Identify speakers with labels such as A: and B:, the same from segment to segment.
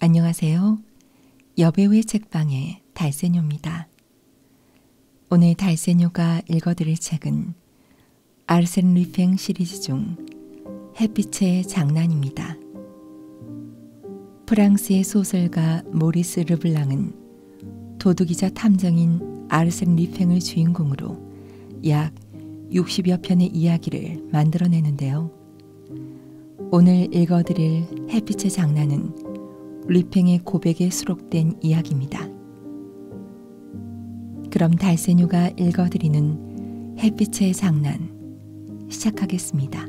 A: 안녕하세요. 여배우의 책방의 달세뇨입니다. 오늘 달세뇨가 읽어드릴 책은 아르센 루팽 시리즈 중 햇빛의 장난입니다. 프랑스의 소설가 모리스 르블랑은 도둑이자 탐정인 아르센 리팽을 주인공으로 약 60여 편의 이야기를 만들어내는데요. 오늘 읽어드릴 햇빛의 장난은 리팽의 고백에 수록된 이야기입니다. 그럼 달세뇨가 읽어드리는 햇빛의 장난 시작하겠습니다.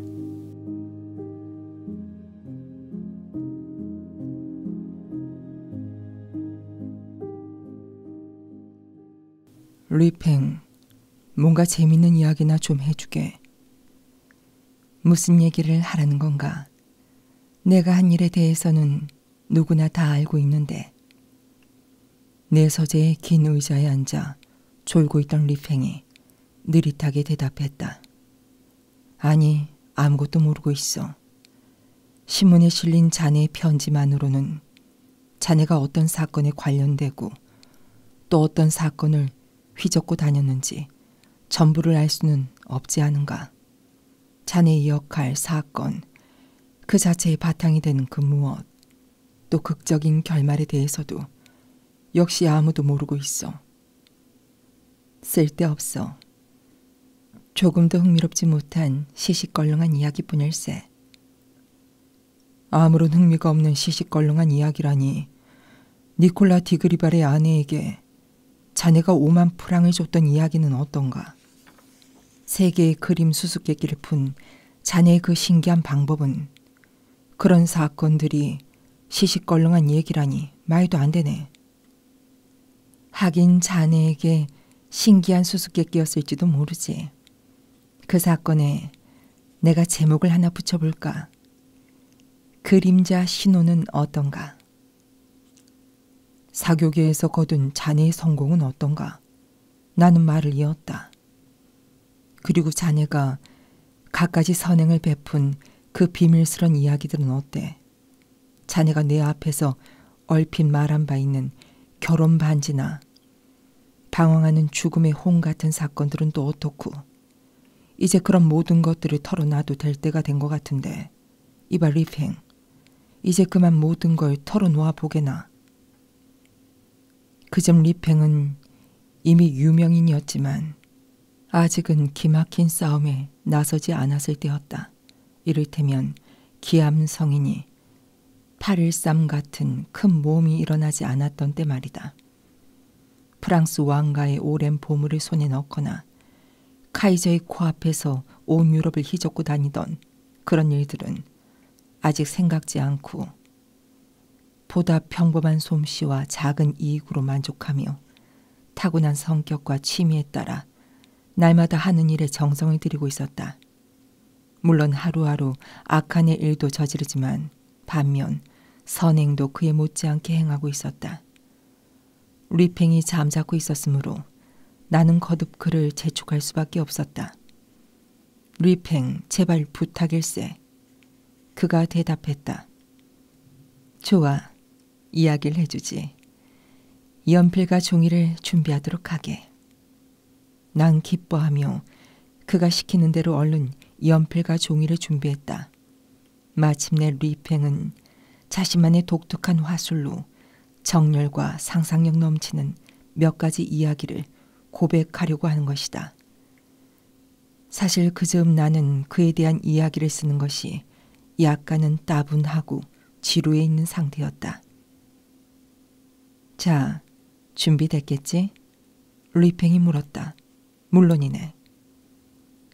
A: 리팽, 뭔가 재밌는 이야기나 좀 해주게. 무슨 얘기를 하라는 건가? 내가 한 일에 대해서는 누구나 다 알고 있는데. 내 서재의 긴 의자에 앉아 졸고 있던 리팽이 느릿하게 대답했다. 아니, 아무것도 모르고 있어. 신문에 실린 자네의 편지만으로는 자네가 어떤 사건에 관련되고 또 어떤 사건을 휘젓고 다녔는지 전부를 알 수는 없지 않은가. 자네의 역할, 사건, 그 자체의 바탕이 되는 그 무엇, 또 극적인 결말에 대해서도 역시 아무도 모르고 있어. 쓸데없어. 조금도 흥미롭지 못한 시시껄렁한 이야기뿐일세. 아무런 흥미가 없는 시시껄렁한 이야기라니 니콜라 디그리발의 아내에게 자네가 오만 프랑을 줬던 이야기는 어떤가? 세 개의 그림 수수께끼를 푼 자네의 그 신기한 방법은 그런 사건들이 시시껄렁한 얘기라니 말도 안 되네. 하긴 자네에게 신기한 수수께끼였을지도 모르지. 그 사건에 내가 제목을 하나 붙여볼까? 그림자 신호는 어떤가? 사교계에서 거둔 자네의 성공은 어떤가? 나는 말을 이었다. 그리고 자네가 갖가지 선행을 베푼 그 비밀스런 이야기들은 어때? 자네가 내 앞에서 얼핏 말한 바 있는 결혼 반지나 방황하는 죽음의 홍 같은 사건들은 또 어떻고? 이제 그런 모든 것들을 털어놔도 될 때가 된 것 같은데 이봐 리팽 이제 그만 모든 걸 털어놓아 보게나. 그 점 리팽은 이미 유명인이었지만 아직은 기막힌 싸움에 나서지 않았을 때였다. 이를테면 기암성인이 8.13 같은 큰 모험이 일어나지 않았던 때 말이다. 프랑스 왕가의 오랜 보물을 손에 넣거나 카이저의 코앞에서 온 유럽을 휘젓고 다니던 그런 일들은 아직 생각지 않고 보다 평범한 솜씨와 작은 이익으로 만족하며 타고난 성격과 취미에 따라 날마다 하는 일에 정성을 들이고 있었다. 물론 하루하루 악한 일도 저지르지만 반면 선행도 그에 못지않게 행하고 있었다. 리팽이 잠자고 있었으므로 나는 거듭 그를 재촉할 수밖에 없었다. 리팽, 제발 부탁일세. 그가 대답했다. 좋아, 이야기를 해주지. 연필과 종이를 준비하도록 하게. 난 기뻐하며 그가 시키는 대로 얼른 연필과 종이를 준비했다. 마침내 리팽은 자신만의 독특한 화술로 정열과 상상력 넘치는 몇 가지 이야기를 고백하려고 하는 것이다. 사실 그즈음 나는 그에 대한 이야기를 쓰는 것이 약간은 따분하고 지루해 있는 상태였다. 자, 준비됐겠지? 리팽이 물었다. 물론이네.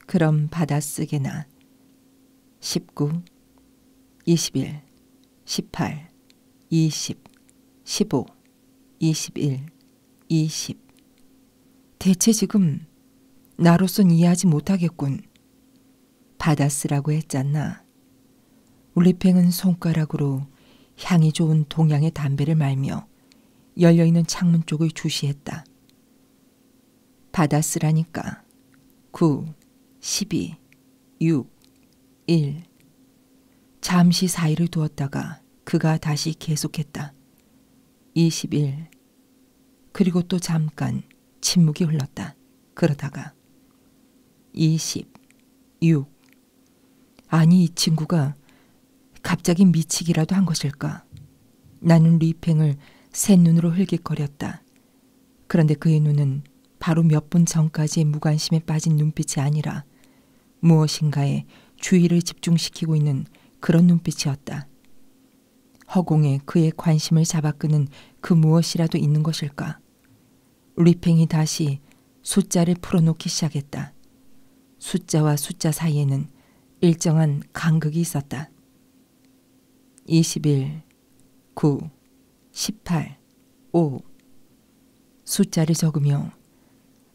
A: 그럼 받아쓰기나 19, 21, 18, 20, 15, 21, 20. 대체 지금 나로선 이해하지 못하겠군. 받아쓰라고 했잖나. 울리팽은 손가락으로 향이 좋은 동양의 담배를 말며 열려있는 창문 쪽을 주시했다. 받았으라니까. 9, 12, 6, 1. 잠시 사이를 두었다가 그가 다시 계속했다. 21. 그리고 또 잠깐 침묵이 흘렀다. 그러다가 20, 6. 아니 이 친구가 갑자기 미치기라도 한 것일까? 나는 리팽을 새 눈으로 흘깃거렸다. 그런데 그의 눈은 바로 몇 분 전까지의 무관심에 빠진 눈빛이 아니라 무엇인가에 주의를 집중시키고 있는 그런 눈빛이었다. 허공에 그의 관심을 잡아끄는 그 무엇이라도 있는 것일까? 리팽이 다시 숫자를 풀어놓기 시작했다. 숫자와 숫자 사이에는 일정한 간극이 있었다. 21, 9, 18, 5 숫자를 적으며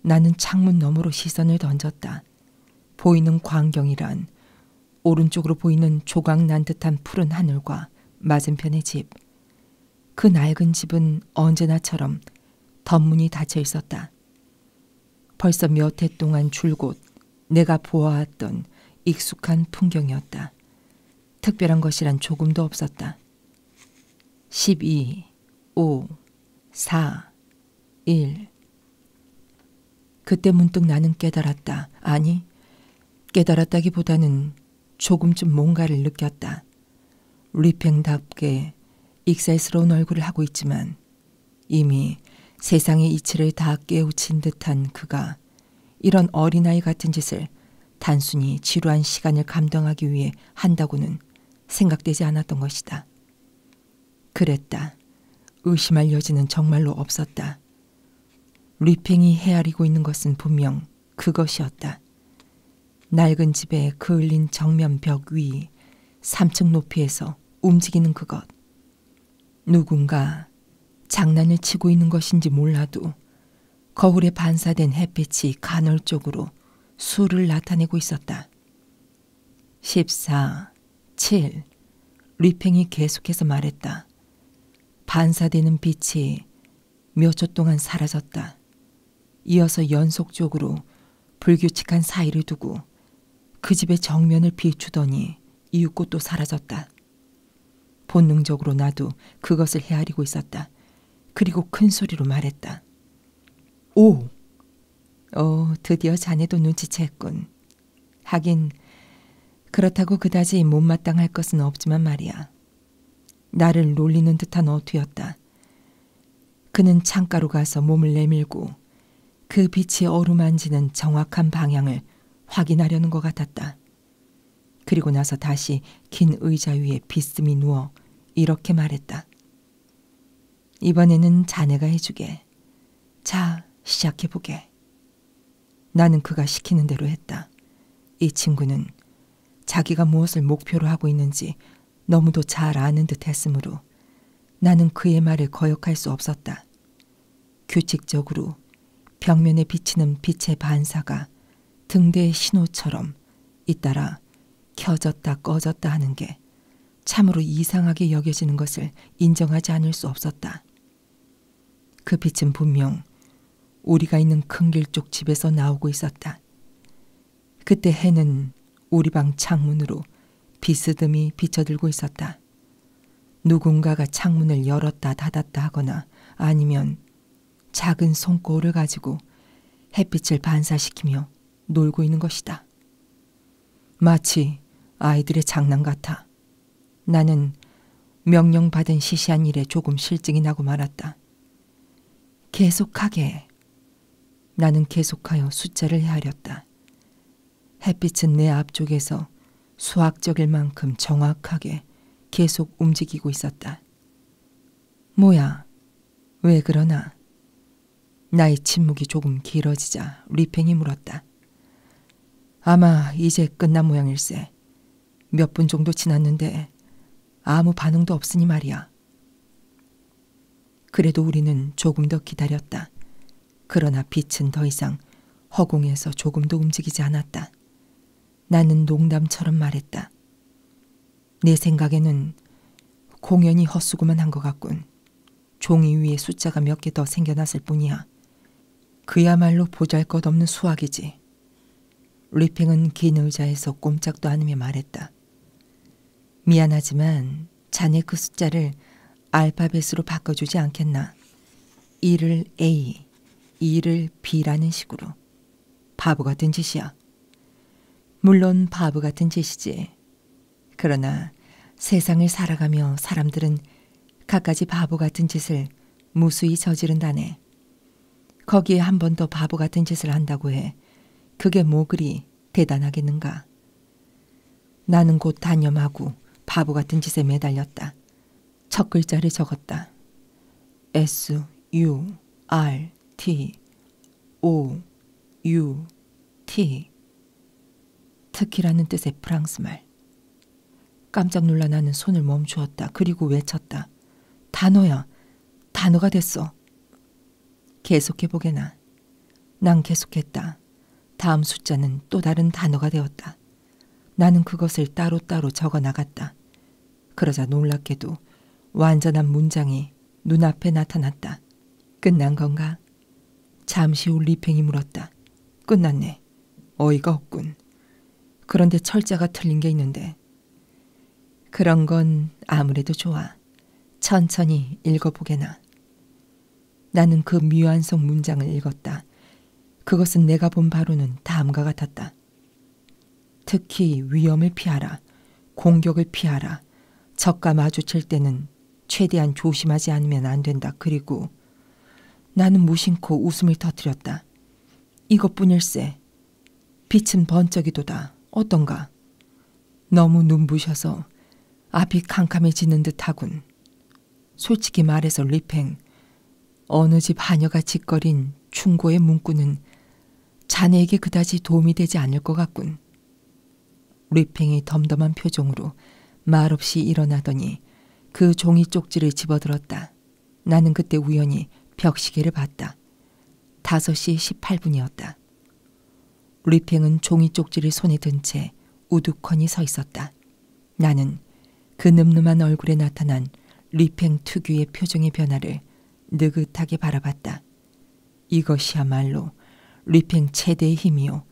A: 나는 창문 너머로 시선을 던졌다. 보이는 광경이란 오른쪽으로 보이는 조각 난 듯한 푸른 하늘과 맞은편의 집. 그 낡은 집은 언제나처럼 덧문이 닫혀 있었다. 벌써 몇 해 동안 줄곧 내가 보아왔던 익숙한 풍경이었다. 특별한 것이란 조금도 없었다. 12, 5, 4, 1. 그때 문득 나는 깨달았다. 아니, 깨달았다기보다는 조금쯤 뭔가를 느꼈다. 리팽답게 익살스러운 얼굴을 하고 있지만 이미 세상의 이치를 다 깨우친 듯한 그가 이런 어린아이 같은 짓을 단순히 지루한 시간을 감당하기 위해 한다고는 생각되지 않았던 것이다. 그랬다. 의심할 여지는 정말로 없었다. 리팽이 헤아리고 있는 것은 분명 그것이었다. 낡은 집에 그을린 정면 벽 위, 3층 높이에서 움직이는 그것. 누군가 장난을 치고 있는 것인지 몰라도 거울에 반사된 햇빛이 간헐적으로 수를 나타내고 있었다. 14, 7, 리팽이 계속해서 말했다. 반사되는 빛이 몇 초 동안 사라졌다. 이어서 연속적으로 불규칙한 사이를 두고 그 집의 정면을 비추더니 이윽고 또 사라졌다. 본능적으로 나도 그것을 헤아리고 있었다. 그리고 큰 소리로 말했다. 오! 어, 드디어 자네도 눈치챘군. 하긴 그렇다고 그다지 못마땅할 것은 없지만 말이야. 나를 놀리는 듯한 어투였다. 그는 창가로 가서 몸을 내밀고 그 빛이 어루만지는 정확한 방향을 확인하려는 것 같았다. 그리고 나서 다시 긴 의자 위에 비스미 누워 이렇게 말했다. 이번에는 자네가 해주게. 자, 시작해보게. 나는 그가 시키는 대로 했다. 이 친구는 자기가 무엇을 목표로 하고 있는지 너무도 잘 아는 듯 했으므로 나는 그의 말을 거역할 수 없었다. 규칙적으로 벽면에 비치는 빛의 반사가 등대의 신호처럼 잇따라 켜졌다 꺼졌다 하는 게 참으로 이상하게 여겨지는 것을 인정하지 않을 수 없었다. 그 빛은 분명 우리가 있는 큰길 쪽 집에서 나오고 있었다. 그때 해는 우리 방 창문으로 비스듬히 비쳐들고 있었다. 누군가가 창문을 열었다 닫았다 하거나 아니면 작은 손거울을 가지고 햇빛을 반사시키며 놀고 있는 것이다. 마치 아이들의 장난 같아. 나는 명령받은 시시한 일에 조금 실증이 나고 말았다. 계속하게. 나는 계속하여 숫자를 헤아렸다. 햇빛은 내 앞쪽에서 수학적일 만큼 정확하게 계속 움직이고 있었다. 뭐야? 왜 그러나? 나의 침묵이 조금 길어지자 리팽이 물었다. 아마 이제 끝난 모양일세. 몇 분 정도 지났는데 아무 반응도 없으니 말이야. 그래도 우리는 조금 더 기다렸다. 그러나 빛은 더 이상 허공에서 조금도 움직이지 않았다. 나는 농담처럼 말했다. 내 생각에는 공연이 헛수고만 한 것 같군. 종이 위에 숫자가 몇 개 더 생겨났을 뿐이야. 그야말로 보잘것없는 수학이지. 리팽은 긴 의자에서 꼼짝도 않으며 말했다. 미안하지만 자네 그 숫자를 알파벳으로 바꿔주지 않겠나. 1을 A, 2를 B라는 식으로. 바보 같은 짓이야. 물론 바보 같은 짓이지. 그러나 세상을 살아가며 사람들은 갖가지 바보 같은 짓을 무수히 저지른다네. 거기에 한 번 더 바보 같은 짓을 한다고 해. 그게 뭐 그리 대단하겠는가. 나는 곧 단념하고 바보 같은 짓에 매달렸다. 첫 글자를 적었다. S U R T O U T 특히라는 뜻의 프랑스 말. 깜짝 놀라 나는 손을 멈추었다. 그리고 외쳤다. 단어야. 단어가 됐어. 계속해보게나. 난 계속했다. 다음 숫자는 또 다른 단어가 되었다. 나는 그것을 따로따로 적어 나갔다. 그러자 놀랍게도 완전한 문장이 눈앞에 나타났다. 끝난 건가? 잠시 후 리팽이 물었다. 끝났네. 어이가 없군. 그런데 철자가 틀린 게 있는데. 그런 건 아무래도 좋아. 천천히 읽어보게나. 나는 그 묘한 속 문장을 읽었다. 그것은 내가 본 바로는 다음과 같았다. 특히 위험을 피하라. 공격을 피하라. 적과 마주칠 때는 최대한 조심하지 않으면 안 된다. 그리고 나는 무심코 웃음을 터뜨렸다. 이것뿐일세. 빛은 번쩍이도다. 어떤가? 너무 눈부셔서 앞이 캄캄해지는 듯하군. 솔직히 말해서 리팽, 어느 집 하녀가 짓거린 충고의 문구는 자네에게 그다지 도움이 되지 않을 것 같군. 리팽이 덤덤한 표정으로 말없이 일어나더니 그 종이 쪽지를 집어들었다. 나는 그때 우연히 벽시계를 봤다. 5시 18분이었다. 리팽은 종이 쪽지를 손에 든채 우두커니 서 있었다. 나는 그 늠름한 얼굴에 나타난 리팽 특유의 표정의 변화를 느긋하게 바라봤다. 이것이야말로 리팽 최대의 힘이요.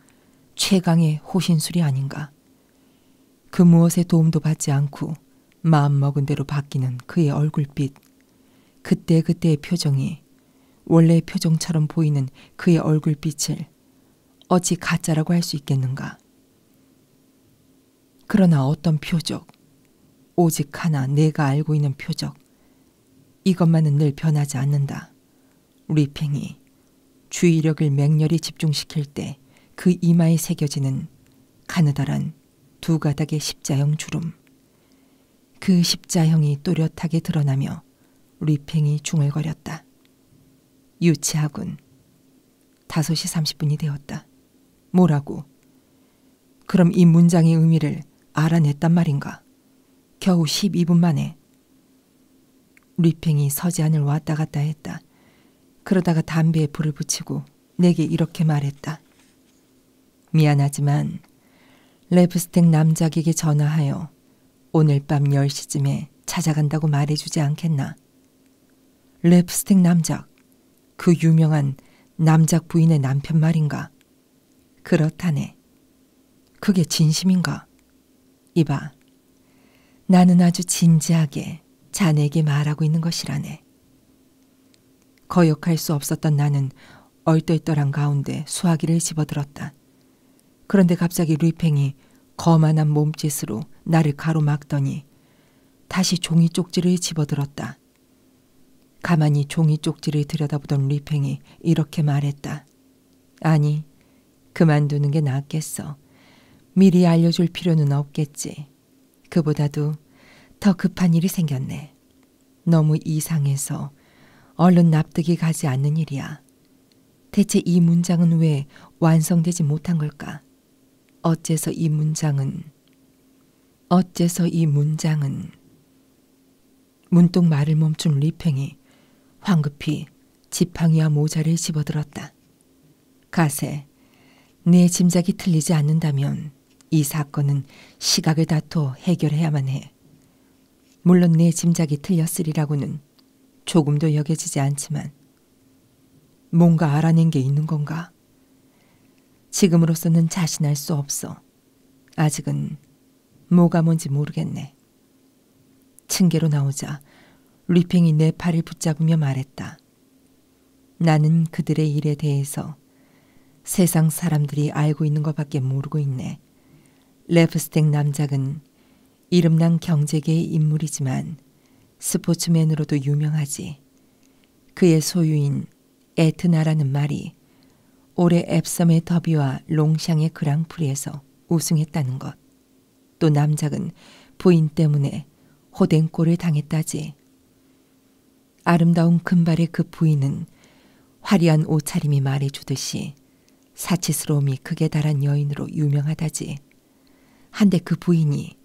A: 최강의 호신술이 아닌가. 그 무엇의 도움도 받지 않고 마음먹은 대로 바뀌는 그의 얼굴빛. 그때그때의 표정이 원래의 표정처럼 보이는 그의 얼굴빛을 어찌 가짜라고 할 수 있겠는가? 그러나 어떤 표적, 오직 하나 내가 알고 있는 표적, 이것만은 늘 변하지 않는다. 리팽이 주의력을 맹렬히 집중시킬 때 그 이마에 새겨지는 가느다란 두 가닥의 십자형 주름. 그 십자형이 또렷하게 드러나며 리팽이 중얼거렸다. 유치하군. 5시 30분이 되었다. 뭐라고? 그럼 이 문장의 의미를 알아냈단 말인가? 겨우 12분 만에. 리팽이 서지안을 왔다 갔다 했다. 그러다가 담배에 불을 붙이고 내게 이렇게 말했다. 미안하지만 레브스텍 남작에게 전화하여 오늘 밤 10시쯤에 찾아간다고 말해주지 않겠나. 랩스틱 남작, 그 유명한 남작 부인의 남편 말인가. 그렇다네. 그게 진심인가? 이봐, 나는 아주 진지하게 자네에게 말하고 있는 것이라네. 거역할 수 없었던 나는 얼떨떨한 가운데 수화기를 집어들었다. 그런데 갑자기 루이팽이 거만한 몸짓으로 나를 가로막더니 다시 종이 쪽지를 집어들었다. 가만히 종이 쪽지를 들여다보던 루이팽이 이렇게 말했다. 아니, 그만두는 게 낫겠어. 미리 알려줄 필요는 없겠지. 그보다도 더 급한 일이 생겼네. 너무 이상해서 얼른 납득이 가지 않는 일이야. 대체 이 문장은 왜 완성되지 못한 걸까? 어째서 이 문장은 어째서 이 문장은 문득 말을 멈춘 리팽이 황급히 지팡이와 모자를 집어들었다. 가세, 내 짐작이 틀리지 않는다면 이 사건은 시각을 다퉈 해결해야만 해. 물론 내 짐작이 틀렸으리라고는 조금도 여겨지지 않지만 뭔가 알아낸 게 있는 건가? 지금으로서는 자신할 수 없어. 아직은 뭐가 뭔지 모르겠네. 층계로 나오자 리팽이 내 팔을 붙잡으며 말했다. 나는 그들의 일에 대해서 세상 사람들이 알고 있는 것밖에 모르고 있네. 레프스텍 남작은 이름난 경제계의 인물이지만 스포츠맨으로도 유명하지. 그의 소유인 에트나라는 말이 올해 앱섬의 더비와 롱샹의 그랑프리에서 우승했다는 것. 또 남작은 부인 때문에 호den골을 당했다지. 아름다운 금발의 그 부인은 화려한 옷차림이 말해주듯이 사치스러움이 극에 달한 여인으로 유명하다지. 한데 그 부인이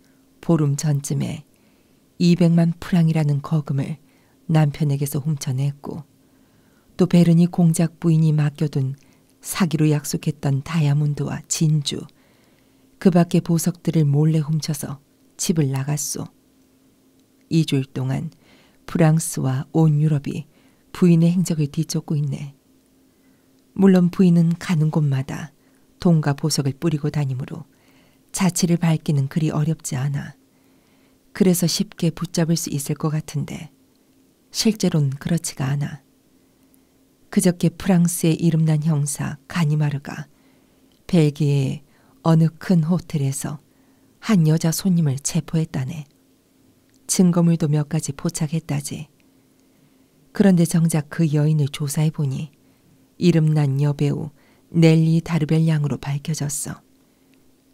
A: 보름 전쯤에 200만 프랑이라는 거금을 남편에게서 훔쳐냈고 또 베르니 공작 부인이 맡겨둔 사기로 약속했던 다이아몬드와 진주, 그 밖의 보석들을 몰래 훔쳐서 집을 나갔소. 2주일 동안 프랑스와 온 유럽이 부인의 행적을 뒤쫓고 있네. 물론 부인은 가는 곳마다 돈과 보석을 뿌리고 다니므로 자취를 밝히는 그리 어렵지 않아. 그래서 쉽게 붙잡을 수 있을 것 같은데 실제론 그렇지가 않아. 그저께 프랑스의 이름난 형사 가니마르가 벨기에의 어느 큰 호텔에서 한 여자 손님을 체포했다네. 증거물도 몇 가지 포착했다지. 그런데 정작 그 여인을 조사해 보니 이름난 여배우 넬리 다르벨 양으로 밝혀졌어.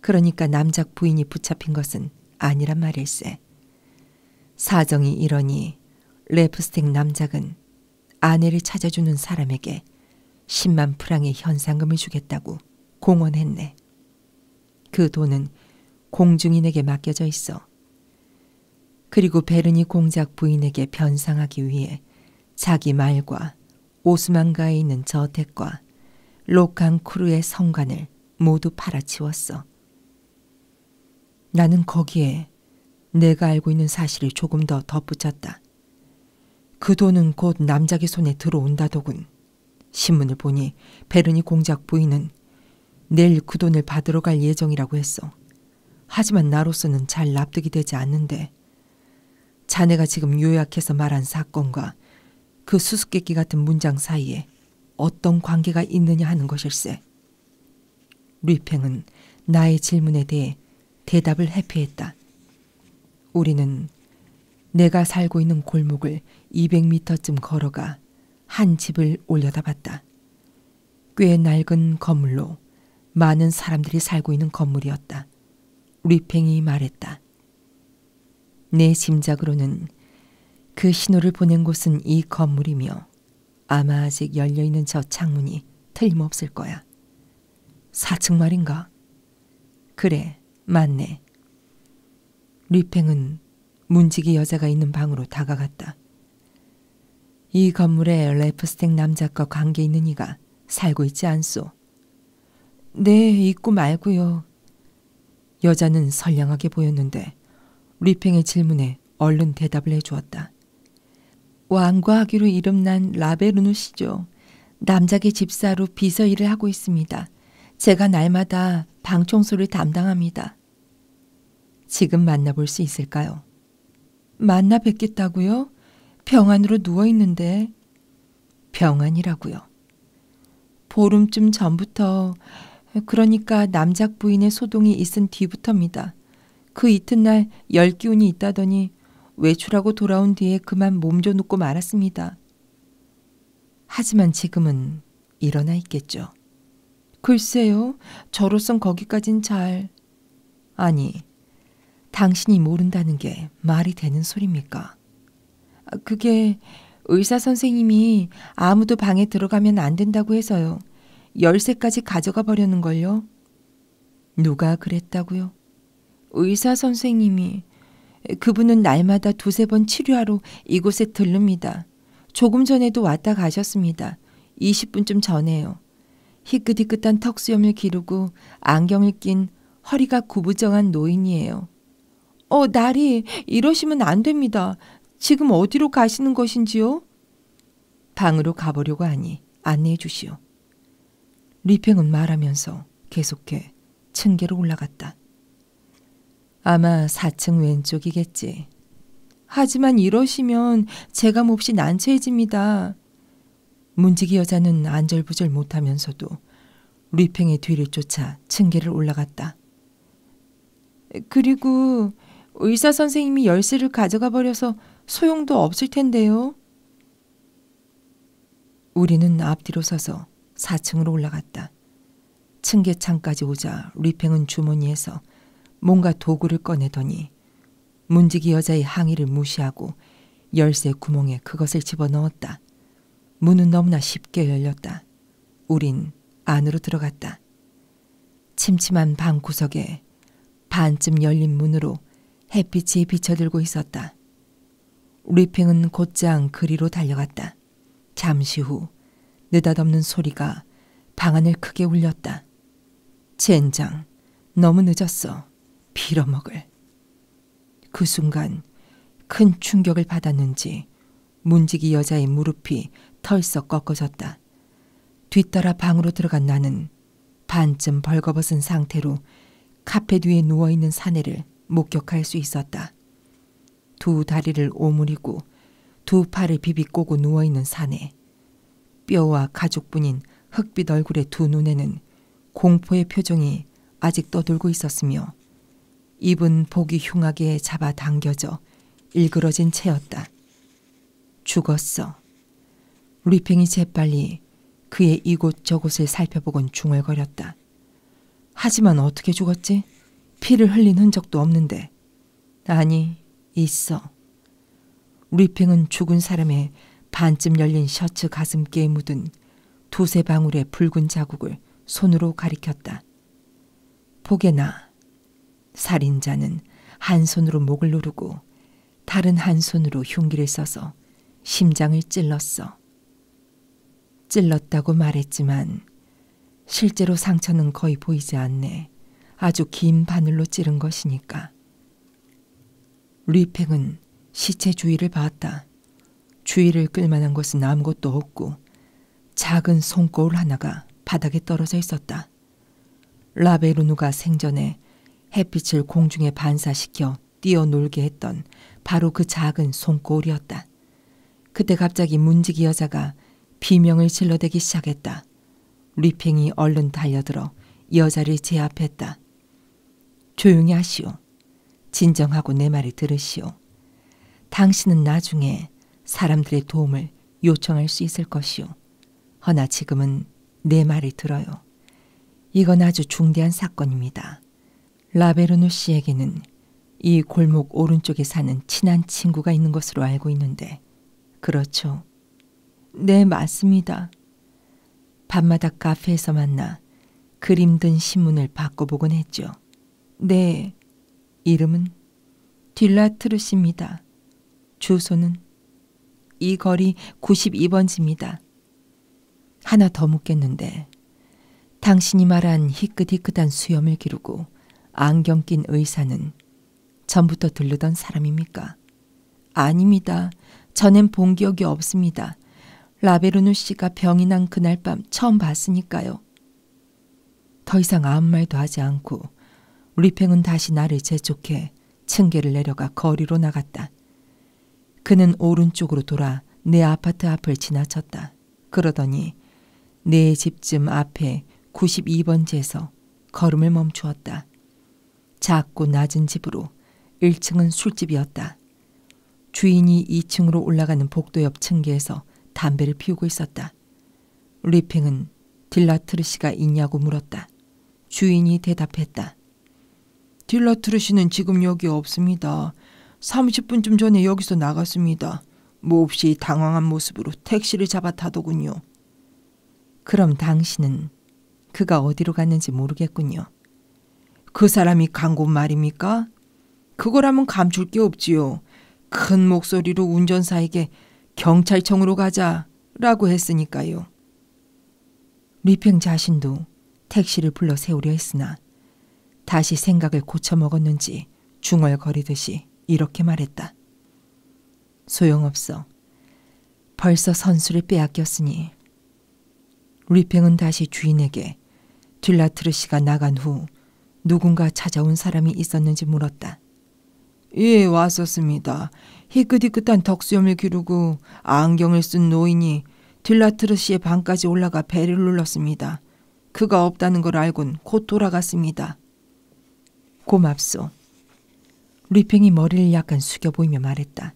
A: 그러니까 남작 부인이 붙잡힌 것은 아니란 말일세. 사정이 이러니 레프스텍 남작은 아내를 찾아주는 사람에게 10만 프랑의 현상금을 주겠다고 공언했네. 그 돈은 공중인에게 맡겨져 있어. 그리고 베르니 공작 부인에게 변상하기 위해 자기 말과 오스만가에 있는 저택과 로캉크루의 성관을 모두 팔아치웠어. 나는 거기에 내가 알고 있는 사실을 조금 더 덧붙였다. 그 돈은 곧 남작의 손에 들어온다더군. 신문을 보니 베르니 공작 부인은 내일 그 돈을 받으러 갈 예정이라고 했어. 하지만 나로서는 잘 납득이 되지 않는데 자네가 지금 요약해서 말한 사건과 그 수수께끼 같은 문장 사이에 어떤 관계가 있느냐 하는 것일세. 루이팽은 나의 질문에 대해 대답을 회피했다. 우리는 내가 살고 있는 골목을 200m쯤 걸어가 한 집을 올려다봤다. 꽤 낡은 건물로 많은 사람들이 살고 있는 건물이었다. 리팽이 말했다. 내 짐작으로는 그 신호를 보낸 곳은 이 건물이며 아마 아직 열려있는 저 창문이 틀림없을 거야. 4층 말인가? 그래, 맞네. 리팽은 문지기 여자가 있는 방으로 다가갔다. 이 건물에 레프스텍 남자과 관계 있는 이가 살고 있지 않소. 네, 있고 말고요. 여자는 선량하게 보였는데 리팽의 질문에 얼른 대답을 해주었다. 왕과 하기로 이름난 라베르누 씨죠. 남작의 집사로 비서 일을 하고 있습니다. 제가 날마다 방 청소를 담당합니다. 지금 만나볼 수 있을까요? 만나 뵙겠다고요? 병안으로 누워 있는데 병안이라고요. 보름쯤 전부터 그러니까 남작 부인의 소동이 있은 뒤부터입니다. 그 이튿날 열기운이 있다더니 외출하고 돌아온 뒤에 그만 몸져 눕고 말았습니다. 하지만 지금은 일어나 있겠죠. 글쎄요, 저로선 거기까진 잘. 아니, 당신이 모른다는 게 말이 되는 소립니까? 아, 그게 의사 선생님이 아무도 방에 들어가면 안 된다고 해서요. 열쇠까지 가져가 버려는 걸요. 누가 그랬다고요? 의사 선생님이 그분은 날마다 두세 번 치료하러 이곳에 들릅니다. 조금 전에도 왔다 가셨습니다. 20분쯤 전에요. 희끗희끗한 턱수염을 기르고 안경을 낀 허리가 구부정한 노인이에요. 어, 나리, 이러시면 안 됩니다. 지금 어디로 가시는 것인지요? 방으로 가보려고 하니 안내해 주시오. 리팽은 말하면서 계속해 층계로 올라갔다. 아마 4층 왼쪽이겠지. 하지만 이러시면 제가 몹시 난처해집니다. 문지기 여자는 안절부절 못하면서도 리팽의 뒤를 쫓아 층계를 올라갔다. 그리고 의사 선생님이 열쇠를 가져가 버려서 소용도 없을 텐데요. 우리는 앞뒤로 서서 4층으로 올라갔다. 층계창까지 오자 리팽은 주머니에서 뭔가 도구를 꺼내더니 문지기 여자의 항의를 무시하고 열쇠 구멍에 그것을 집어넣었다. 문은 너무나 쉽게 열렸다. 우린 안으로 들어갔다. 침침한 방 구석에 반쯤 열린 문으로 햇빛이 비쳐들고 있었다. 리팽은 곧장 그리로 달려갔다. 잠시 후 느닷없는 소리가 방 안을 크게 울렸다. 젠장, 너무 늦었어. 빌어먹을. 그 순간 큰 충격을 받았는지 문지기 여자의 무릎이 털썩 꺾어졌다. 뒤따라 방으로 들어간 나는 반쯤 벌거벗은 상태로 카페 뒤에 누워있는 사내를 목격할 수 있었다. 두 다리를 오므리고 두 팔을 비비꼬고 누워있는 사내. 뼈와 가죽뿐인 흑빛 얼굴의 두 눈에는 공포의 표정이 아직 떠돌고 있었으며 입은 복이 흉하게 잡아당겨져 일그러진 채였다. 죽었어. 루이팽이 재빨리 그의 이곳저곳을 살펴보곤 중얼거렸다. 하지만 어떻게 죽었지? 피를 흘린 흔적도 없는데. 아니, 있어. 리팽은 죽은 사람의 반쯤 열린 셔츠 가슴께에 묻은 두세 방울의 붉은 자국을 손으로 가리켰다. 보게나. 살인자는 한 손으로 목을 누르고 다른 한 손으로 흉기를 써서 심장을 찔렀어. 찔렀다고 말했지만 실제로 상처는 거의 보이지 않네. 아주 긴 바늘로 찌른 것이니까. 루이팽은 시체 주위를 봤다. 주위를 끌만한 것은 아무것도 없고 작은 손거울 하나가 바닥에 떨어져 있었다. 라베르누가 생전에 햇빛을 공중에 반사시켜 뛰어놀게 했던 바로 그 작은 손거울이었다. 그때 갑자기 문지기 여자가 비명을 질러대기 시작했다. 리팽이 얼른 달려들어 여자를 제압했다. 조용히 하시오. 진정하고 내 말을 들으시오. 당신은 나중에 사람들의 도움을 요청할 수 있을 것이오. 허나 지금은 내 말을 들어요. 이건 아주 중대한 사건입니다. 라베르누 씨에게는 이 골목 오른쪽에 사는 친한 친구가 있는 것으로 알고 있는데, 그렇죠. 네, 맞습니다. 밤마다 카페에서 만나 그림 든 신문을 바꿔보곤 했죠. 네, 이름은 딜라트르 씨입니다. 주소는 이 거리 92번지입니다. 하나 더 묻겠는데 당신이 말한 희끗희끗한 수염을 기르고 안경 낀 의사는 전부터 들르던 사람입니까? 아닙니다. 전엔 본 기억이 없습니다. 라베르누 씨가 병이 난 그날 밤 처음 봤으니까요. 더 이상 아무 말도 하지 않고 리팽은 다시 나를 재촉해 층계를 내려가 거리로 나갔다. 그는 오른쪽으로 돌아 내 아파트 앞을 지나쳤다. 말했다. 그러더니 네 집쯤 앞에 92번지에서 걸음을 멈추었다. 작고 낮은 집으로 1층은 술집이었다. 주인이 2층으로 올라가는 복도 옆 층계에서 담배를 피우고 있었다. 리핑은 딜라트르시가 있냐고 물었다. 주인이 대답했다. 딜라트르시는 지금 여기 없습니다. 30분쯤 전에 여기서 나갔습니다. 몹시 당황한 모습으로 택시를 잡아 타더군요. 그럼 당신은 그가 어디로 갔는지 모르겠군요. 그 사람이 간 곳 말입니까? 그거라면 감출 게 없지요. 큰 목소리로 운전사에게 경찰청으로 가자라고 했으니까요. 리팽 자신도 택시를 불러 세우려 했으나 다시 생각을 고쳐먹었는지 중얼거리듯이 이렇게 말했다. 소용없어. 벌써 선수를 빼앗겼으니. 리팽은 다시 주인에게 딜라트르씨가 나간 후 누군가 찾아온 사람이 있었는지 물었다. 예, 왔었습니다. 희끗희끗한 덕수염을 기르고 안경을 쓴 노인이 딜라트르 씨의 방까지 올라가 배를 눌렀습니다. 그가 없다는 걸 알곤 곧 돌아갔습니다. 고맙소. 루이팽이 머리를 약간 숙여 보이며 말했다.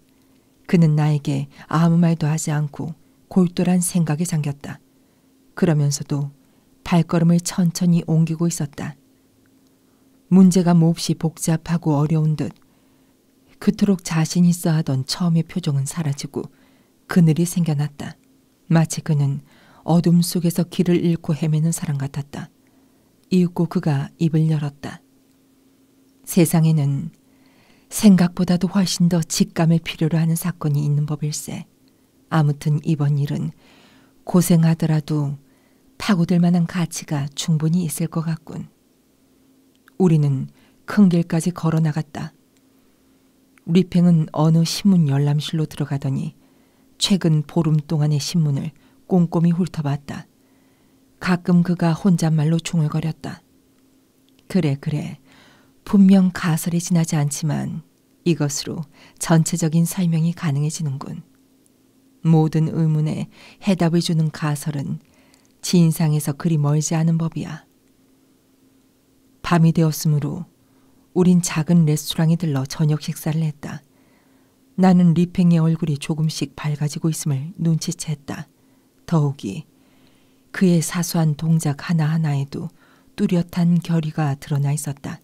A: 그는 나에게 아무 말도 하지 않고 골똘한 생각에 잠겼다. 그러면서도 발걸음을 천천히 옮기고 있었다. 문제가 몹시 복잡하고 어려운 듯 그토록 자신 있어 하던 처음의 표정은 사라지고 그늘이 생겨났다. 마치 그는 어둠 속에서 길을 잃고 헤매는 사람 같았다. 이윽고 그가 입을 열었다. 세상에는 생각보다도 훨씬 더 직감을 필요로 하는 사건이 있는 법일세. 아무튼 이번 일은 고생하더라도 파고들 만한 가치가 충분히 있을 것 같군. 우리는 큰 길까지 걸어 나갔다. 리팽은 어느 신문 열람실로 들어가더니 최근 보름 동안의 신문을 꼼꼼히 훑어봤다. 가끔 그가 혼잣말로 중얼거렸다. 그래 그래 분명 가설에 지나지 않지만 이것으로 전체적인 설명이 가능해지는군. 모든 의문에 해답을 주는 가설은 진상에서 그리 멀지 않은 법이야. 밤이 되었으므로 우린 작은 레스토랑에 들러 저녁 식사를 했다. 나는 리팽의 얼굴이 조금씩 밝아지고 있음을 눈치챘다. 더욱이 그의 사소한 동작 하나하나에도 뚜렷한 결의가 드러나 있었다.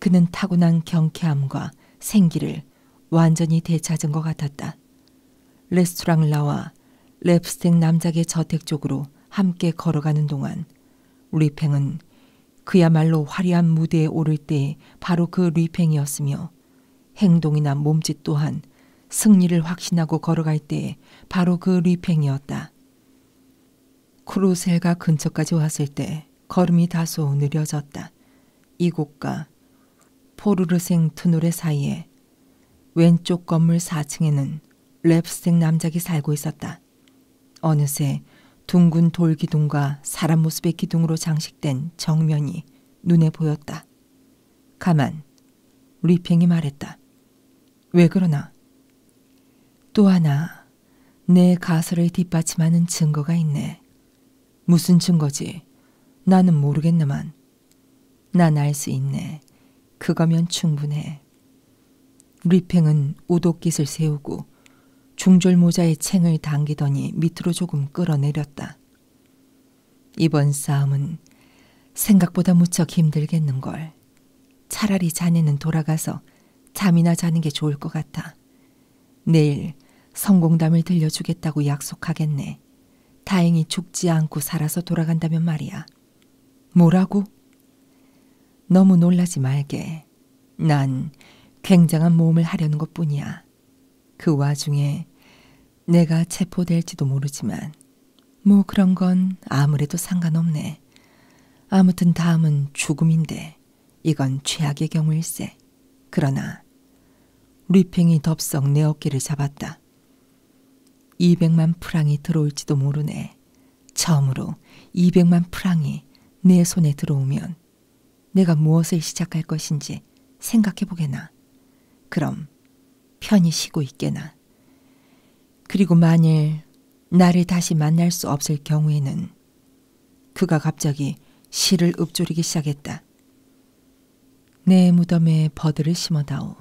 A: 그는 타고난 경쾌함과 생기를 완전히 되찾은 것 같았다. 레스토랑 라와 랩스텍 남작의 저택 쪽으로 함께 걸어가는 동안 리팽은 그야말로 화려한 무대에 오를 때 바로 그 리팽이었으며 행동이나 몸짓 또한 승리를 확신하고 걸어갈 때 바로 그 리팽이었다. 크루셀가 근처까지 왔을 때 걸음이 다소 느려졌다. 이곳과 포르르생 터널의 사이에 왼쪽 건물 4층에는 랩스생 남작이 살고 있었다. 어느새 둥근 돌 기둥과 사람 모습의 기둥으로 장식된 정면이 눈에 보였다. 가만, 리팽이 말했다. 왜 그러나? 또 하나, 내 가설을 뒷받침하는 증거가 있네. 무슨 증거지? 나는 모르겠네만. 난 알 수 있네. 그거면 충분해. 리팽은 우도깃을 세우고 중절 모자의 챙을 당기더니 밑으로 조금 끌어내렸다. 이번 싸움은 생각보다 무척 힘들겠는걸. 차라리 자네는 돌아가서 잠이나 자는 게 좋을 것 같아. 내일 성공담을 들려주겠다고 약속하겠네. 다행히 죽지 않고 살아서 돌아간다면 말이야. 뭐라고? 너무 놀라지 말게. 난 굉장한 모험을 하려는 것 뿐이야. 그 와중에 내가 체포될지도 모르지만, 뭐 그런 건 아무래도 상관없네. 아무튼 다음은 죽음인데, 이건 최악의 경우일세. 그러나, 리팽이 덥석 내 어깨를 잡았다. 200만 프랑이 들어올지도 모르네. 처음으로 200만 프랑이 내 손에 들어오면 내가 무엇을 시작할 것인지 생각해 보게나. 그럼 편히 쉬고 있게나. 그리고 만일 나를 다시 만날 수 없을 경우에는 그가 갑자기 실을 읊조리기 시작했다. 내 무덤에 버들을 심어다오.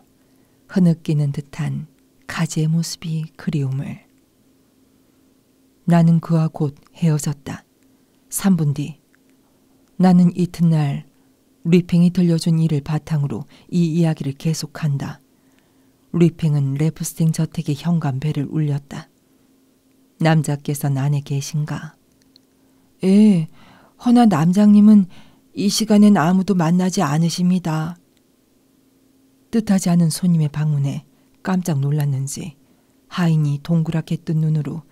A: 흐느끼는 듯한 가지의 모습이 그리움을. 나는 그와 곧 헤어졌다. 3분 뒤. 나는 이튿날 리팽이 들려준 일을 바탕으로 이 이야기를 계속한다. 리팽은 레프스팅 저택의 현관벨을 울렸다. 남자께서는 안에 계신가? 예, 허나 남장님은 이 시간엔 아무도 만나지 않으십니다. 뜻하지 않은 손님의 방문에 깜짝 놀랐는지 하인이 동그랗게 뜬 눈으로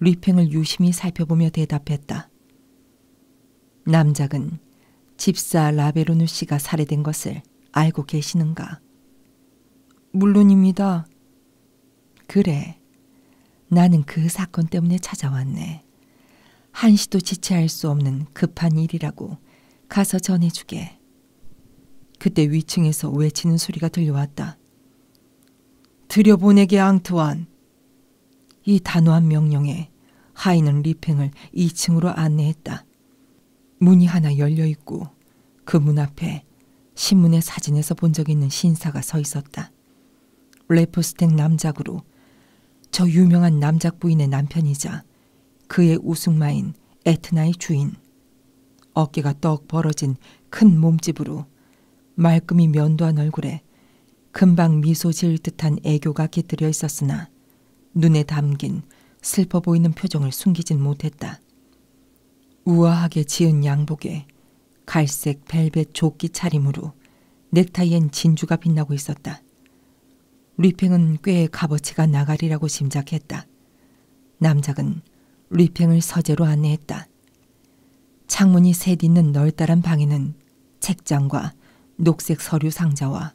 A: 리팽을 유심히 살펴보며 대답했다. 남작은 집사 라베로누 씨가 살해된 것을 알고 계시는가? 물론입니다. 그래. 나는 그 사건 때문에 찾아왔네. 한시도 지체할 수 없는 급한 일이라고 가서 전해주게. 그때 위층에서 외치는 소리가 들려왔다. 들여보내게 앙투안. 이 단호한 명령에 하인은 리팽을 2층으로 안내했다. 문이 하나 열려 있고 그 문 앞에 신문의 사진에서 본 적 있는 신사가 서 있었다. 레포스텍 남작으로 저 유명한 남작 부인의 남편이자 그의 우승마인 에트나의 주인. 어깨가 떡 벌어진 큰 몸집으로 말끔히 면도한 얼굴에 금방 미소 지을 듯한 애교가 깃들여 있었으나 눈에 담긴 슬퍼 보이는 표정을 숨기진 못했다. 우아하게 지은 양복에 갈색 벨벳 조끼 차림으로 넥타이엔 진주가 빛나고 있었다. 리팽은 꽤 값어치가 나가리라고 짐작했다. 남작은 리팽을 서재로 안내했다. 창문이 셋 있는 널따란 방에는 책장과 녹색 서류 상자와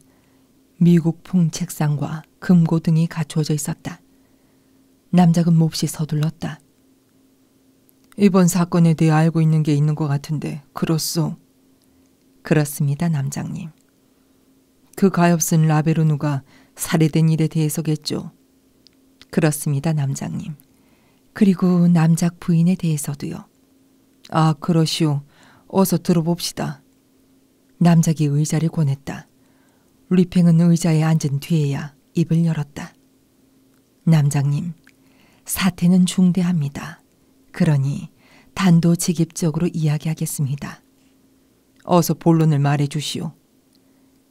A: 미국풍 책상과 금고등이 갖추어져 있었다. 남작은 몹시 서둘렀다. 이번 사건에 대해 알고 있는 게 있는 것 같은데 그렇소? 그렇습니다, 남장님. 그 가엾은 라베르누가 살해된 일에 대해서겠죠. 그렇습니다, 남장님. 그리고 남작 부인에 대해서도요. 아, 그러시오. 어서 들어봅시다. 남작이 의자를 권했다. 리팽은 의자에 앉은 뒤에야 입을 열었다. 남장님, 사태는 중대합니다. 있습니다. 그러니 단도직입적으로 이야기하겠습니다. 어서 본론을 말해 주시오.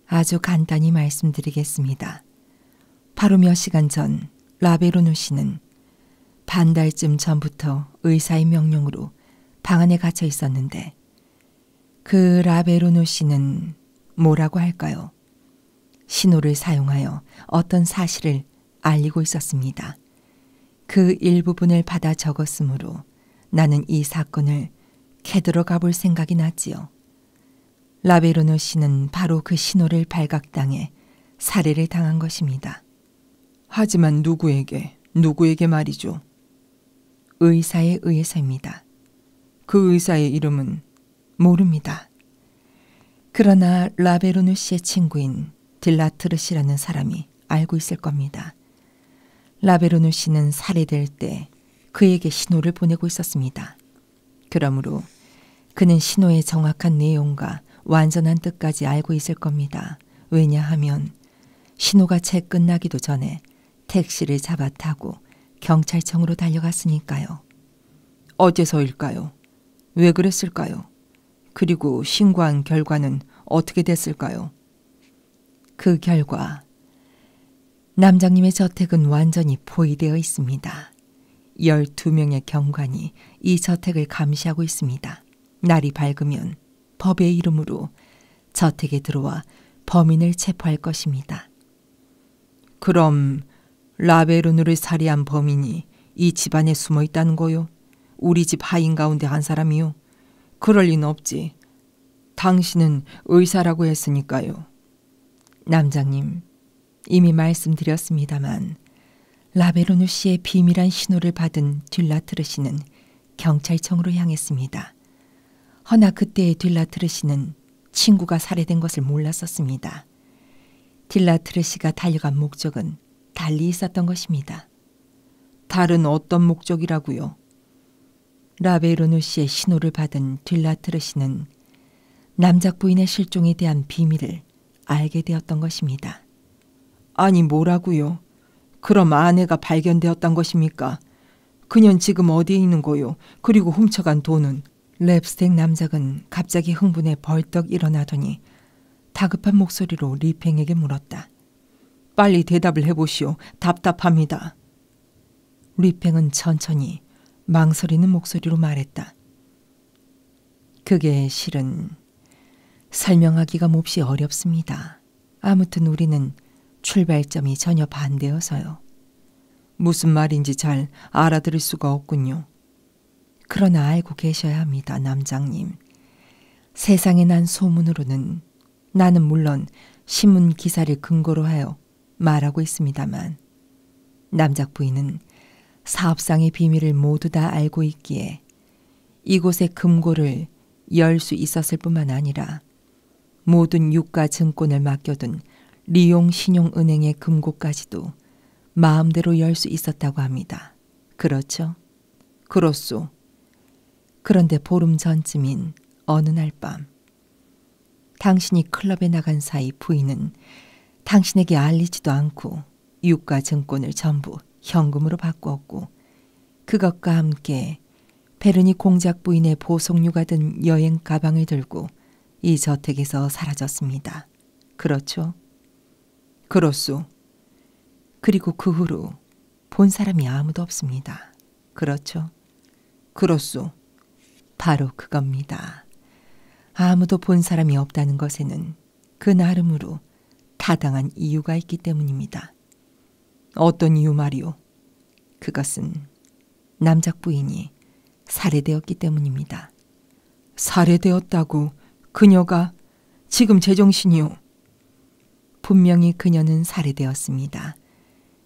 A: 아주 간단히 말씀드리겠습니다. 바로 몇 시간 전 라베로누 씨는 반 달쯤 전부터 의사의 명령으로 방 안에 갇혀 있었는데 그 라베로누 씨는 뭐라고 할까요? 신호를 사용하여 어떤 사실을 알리고 있었습니다. 그 일부분을 받아 적었으므로 나는 이 사건을 캐들어 가볼 생각이 났지요. 라베르노 씨는 바로 그 신호를 발각당해 살해를 당한 것입니다. 하지만 누구에게, 누구에게 말이죠? 의사에 의해서입니다. 그 의사의 이름은 모릅니다. 그러나 라베르누 씨의 친구인 딜라트르시라는 사람이 알고 있을 겁니다. 라베르누 씨는 살해될 때 그에게 신호를 보내고 있었습니다. 그러므로 그는 신호의 정확한 내용과 완전한 뜻까지 알고 있을 겁니다. 왜냐하면 신호가 채 끝나기도 전에 택시를 잡아타고 경찰청으로 달려갔으니까요. 어째서일까요? 왜 그랬을까요? 그리고 신고한 결과는 어떻게 됐을까요? 그 결과 남장님의 저택은 완전히 포위되어 있습니다. 12명의 경관이 이 저택을 감시하고 있습니다. 날이 밝으면 법의 이름으로 저택에 들어와 범인을 체포할 것입니다. 그럼 라베르누를 살해한 범인이 이 집안에 숨어 있다는 거요? 우리 집 하인 가운데 한 사람이요. 그럴 리는 없지. 당신은 의사라고 했으니까요. 남장님, 이미 말씀드렸습니다만 라베로누 씨의 비밀한 신호를 받은 딜라트르 씨는 경찰청으로 향했습니다. 허나 그때의 딜라트르 씨는 친구가 살해된 것을 몰랐었습니다. 딜라트르 씨가 달려간 목적은 달리 있었던 것입니다. 다른 어떤 목적이라고요? 라베로누 씨의 신호를 받은 딜라트르 씨는 남작 부인의 실종에 대한 비밀을 알게 되었던 것입니다. 아니 뭐라고요? 그럼 아내가 발견되었단 것입니까? 그년 지금 어디에 있는 거요? 그리고 훔쳐간 돈은? 랩스텍 남작은 갑자기 흥분해 벌떡 일어나더니 다급한 목소리로 리팽에게 물었다. 빨리 대답을 해보시오. 답답합니다. 리팽은 천천히 망설이는 목소리로 말했다. 그게 실은 설명하기가 몹시 어렵습니다. 아무튼 우리는 출발점이 전혀 반대여서요. 무슨 말인지 잘 알아들을 수가 없군요. 그러나 알고 계셔야 합니다, 남장님. 세상에 난 소문으로는 나는 물론 신문 기사를 근거로 하여 말하고 있습니다만 남작 부인은 사업상의 비밀을 모두 다 알고 있기에 이곳의 금고를 열 수 있었을 뿐만 아니라 모든 유가 증권을 맡겨둔 리용 신용은행의 금고까지도 마음대로 열 수 있었다고 합니다. 그렇죠? 그렇소. 그런데 보름 전쯤인 어느 날 밤 당신이 클럽에 나간 사이 부인은 당신에게 알리지도 않고 유가 증권을 전부 현금으로 바꾸었고 그것과 함께 베르니 공작 부인의 보석류가 든 여행 가방을 들고 이 저택에서 사라졌습니다. 그렇죠? 그렇소. 그리고 그 후로 본 사람이 아무도 없습니다. 그렇죠. 그렇소. 바로 그겁니다. 아무도 본 사람이 없다는 것에는 그 나름으로 타당한 이유가 있기 때문입니다. 어떤 이유 말이오? 그것은 남작 부인이 살해되었기 때문입니다. 살해되었다고 그녀가 지금 제정신이요. 분명히 그녀는 살해되었습니다.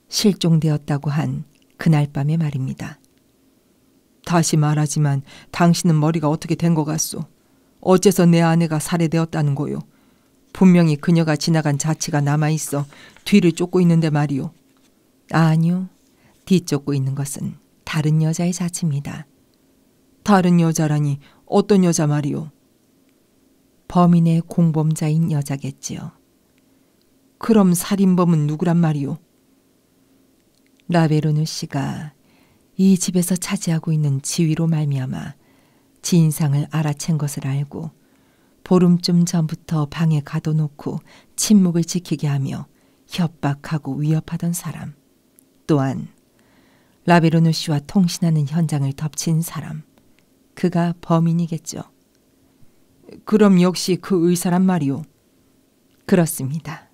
A: 실종되었다고 한 그날 밤의 말입니다. 다시 말하지만 당신은 머리가 어떻게 된 것 같소? 어째서 내 아내가 살해되었다는 거요? 분명히 그녀가 지나간 자취가 남아있어 뒤를 쫓고 있는데 말이요. 아니요. 뒤 쫓고 있는 것은 다른 여자의 자취입니다. 다른 여자라니 어떤 여자 말이오? 범인의 공범자인 여자겠지요. 그럼 살인범은 누구란 말이오? 라베르누 씨가 이 집에서 차지하고 있는 지위로 말미암아 진상을 알아챈 것을 알고 보름쯤 전부터 방에 가둬놓고 침묵을 지키게 하며 협박하고 위협하던 사람. 또한 라비로누 씨와 통신하는 현장을 덮친 사람, 그가 범인이겠죠. 그럼 역시 그 의사란 말이오. 그렇습니다.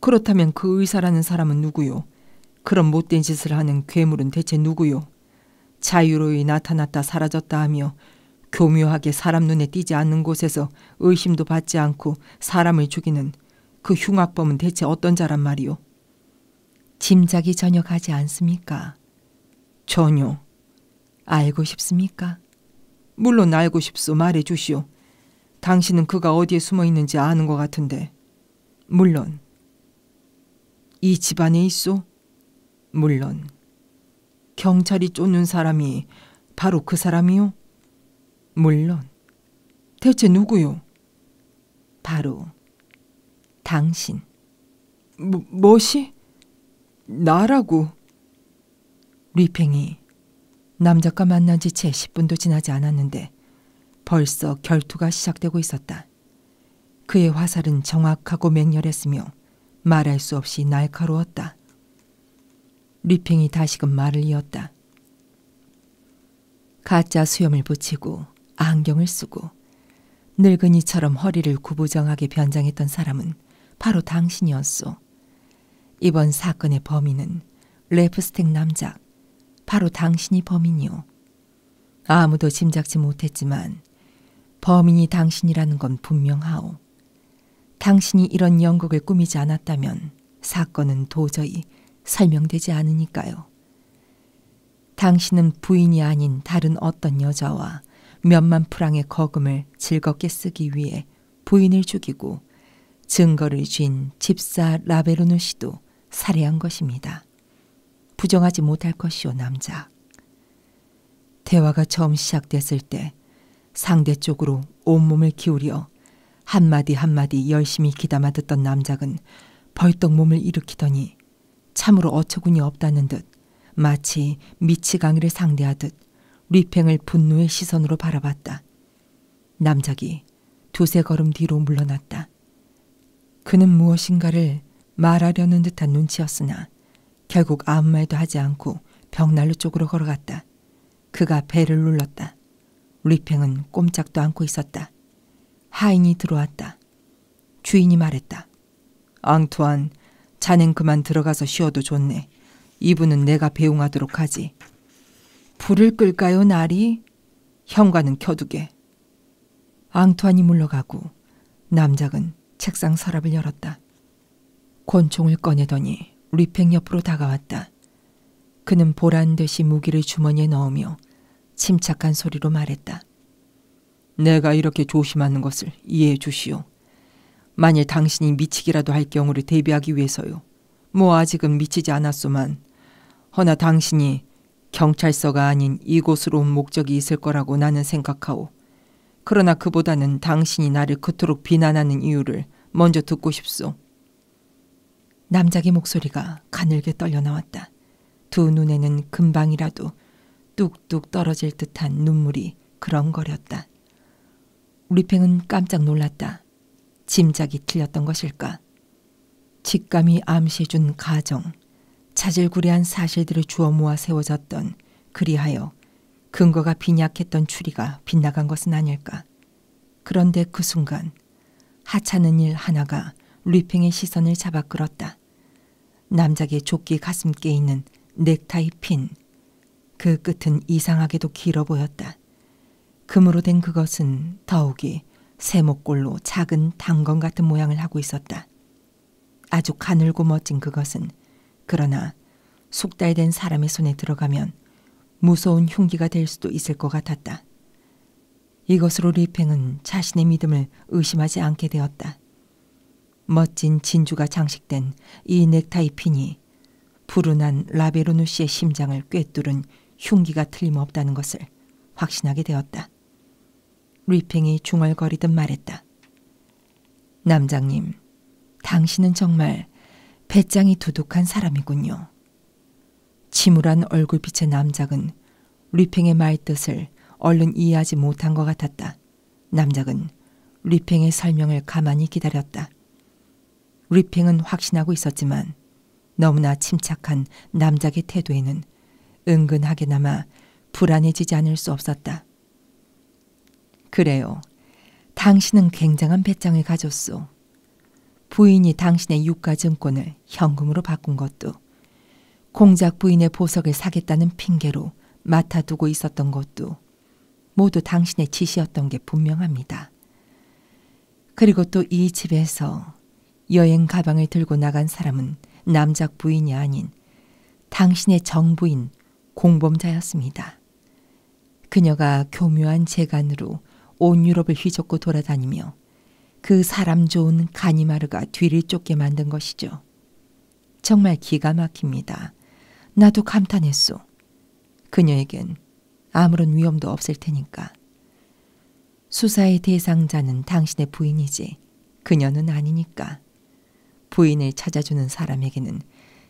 A: 그렇다면 그 의사라는 사람은 누구요? 그런 못된 짓을 하는 괴물은 대체 누구요? 자유로이 나타났다 사라졌다 하며 교묘하게 사람 눈에 띄지 않는 곳에서 의심도 받지 않고 사람을 죽이는 그 흉악범은 대체 어떤 자란 말이오? 짐작이 전혀 가지 않습니까? 전혀. 알고 싶습니까? 물론 알고 싶소. 말해 주시오. 당신은 그가 어디에 숨어 있는지 아는 것 같은데. 물론. 이 집안에 있소? 물론. 경찰이 쫓는 사람이 바로 그 사람이요? 물론. 대체 누구요? 바로 당신. 뭐, 뭐시? 나라고. 리팽이 남작과 만난 지 채 10분도 지나지 않았는데 벌써 결투가 시작되고 있었다. 그의 화살은 정확하고 맹렬했으며 말할 수 없이 날카로웠다. 리팽이 다시금 말을 이었다. 가짜 수염을 붙이고 안경을 쓰고 늙은이처럼 허리를 구부정하게 변장했던 사람은 바로 당신이었소. 이번 사건의 범인은 랩스텍 남작, 바로 당신이 범인이오. 아무도 짐작지 못했지만 범인이 당신이라는 건 분명하오. 당신이 이런 연극을 꾸미지 않았다면 사건은 도저히 설명되지 않으니까요. 당신은 부인이 아닌 다른 어떤 여자와 몇만 프랑의 거금을 즐겁게 쓰기 위해 부인을 죽이고 증거를 쥔 집사 라베르누 씨도 살해한 것입니다. 부정하지 못할 것이오 남자. 대화가 처음 시작됐을 때 상대 쪽으로 온몸을 기울여 한마디 한마디 열심히 귀담아 듣던 남작은 벌떡 몸을 일으키더니 참으로 어처구니 없다는 듯 마치 미치강이를 상대하듯 리팽을 분노의 시선으로 바라봤다. 남작이 두세 걸음 뒤로 물러났다. 그는 무엇인가를 말하려는 듯한 눈치였으나 결국 아무 말도 하지 않고 벽난로 쪽으로 걸어갔다. 그가 배를 눌렀다. 리팽은 꼼짝도 않고 있었다. 하인이 들어왔다. 주인이 말했다. 앙투안, 자넨 그만 들어가서 쉬어도 좋네. 이분은 내가 배웅하도록 하지. 불을 끌까요, 나리? 현관은 켜두게. 앙투안이 물러가고 남작은 책상 서랍을 열었다. 권총을 꺼내더니 리팽 옆으로 다가왔다. 그는 보란 듯이 무기를 주머니에 넣으며 침착한 소리로 말했다. 내가 이렇게 조심하는 것을 이해해 주시오. 만일 당신이 미치기라도 할 경우를 대비하기 위해서요. 뭐 아직은 미치지 않았소만. 허나 당신이 경찰서가 아닌 이곳으로 온 목적이 있을 거라고 나는 생각하오. 그러나 그보다는 당신이 나를 그토록 비난하는 이유를 먼저 듣고 싶소. 남자기 목소리가 가늘게 떨려나왔다. 두 눈에는 금방이라도 뚝뚝 떨어질 듯한 눈물이 그렁거렸다. 우리팽은 깜짝 놀랐다. 짐작이 틀렸던 것일까? 직감이 암시해준 가정, 자질구레한 사실들을 주워 모아 세워졌던 그리하여 근거가 빈약했던 추리가 빗나간 것은 아닐까? 그런데 그 순간 하찮은 일 하나가 루이팽의 시선을 잡아 끌었다. 남작의 조끼 가슴께 있는 넥타이 핀. 그 끝은 이상하게도 길어 보였다. 금으로 된 그것은 더욱이 세목골로 작은 단검 같은 모양을 하고 있었다. 아주 가늘고 멋진 그것은 그러나 숙달된 사람의 손에 들어가면 무서운 흉기가 될 수도 있을 것 같았다. 이것으로 리팽은 자신의 믿음을 의심하지 않게 되었다. 멋진 진주가 장식된 이 넥타이 핀이 불운한 라베로누 씨의 심장을 꿰뚫은 흉기가 틀림없다는 것을 확신하게 되었다. 리팽이 중얼거리듯 말했다. 남장님, 당신은 정말 배짱이 두둑한 사람이군요. 침울한 얼굴빛의 남작은 리팽의 말뜻을 얼른 이해하지 못한 것 같았다. 남작은 리팽의 설명을 가만히 기다렸다. 리팽은 확신하고 있었지만 너무나 침착한 남작의 태도에는 은근하게나마 불안해지지 않을 수 없었다. 그래요. 당신은 굉장한 배짱을 가졌소. 부인이 당신의 유가증권을 현금으로 바꾼 것도 공작 부인의 보석을 사겠다는 핑계로 맡아두고 있었던 것도 모두 당신의 지시였던 게 분명합니다. 그리고 또 이 집에서 여행 가방을 들고 나간 사람은 남작 부인이 아닌 당신의 정부인 공범자였습니다. 그녀가 교묘한 재간으로 온 유럽을 휘젓고 돌아다니며 그 사람 좋은 가니마르가 뒤를 쫓게 만든 것이죠. 정말 기가 막힙니다. 나도 감탄했소. 그녀에겐 아무런 위험도 없을 테니까. 수사의 대상자는 당신의 부인이지 그녀는 아니니까. 부인을 찾아주는 사람에게는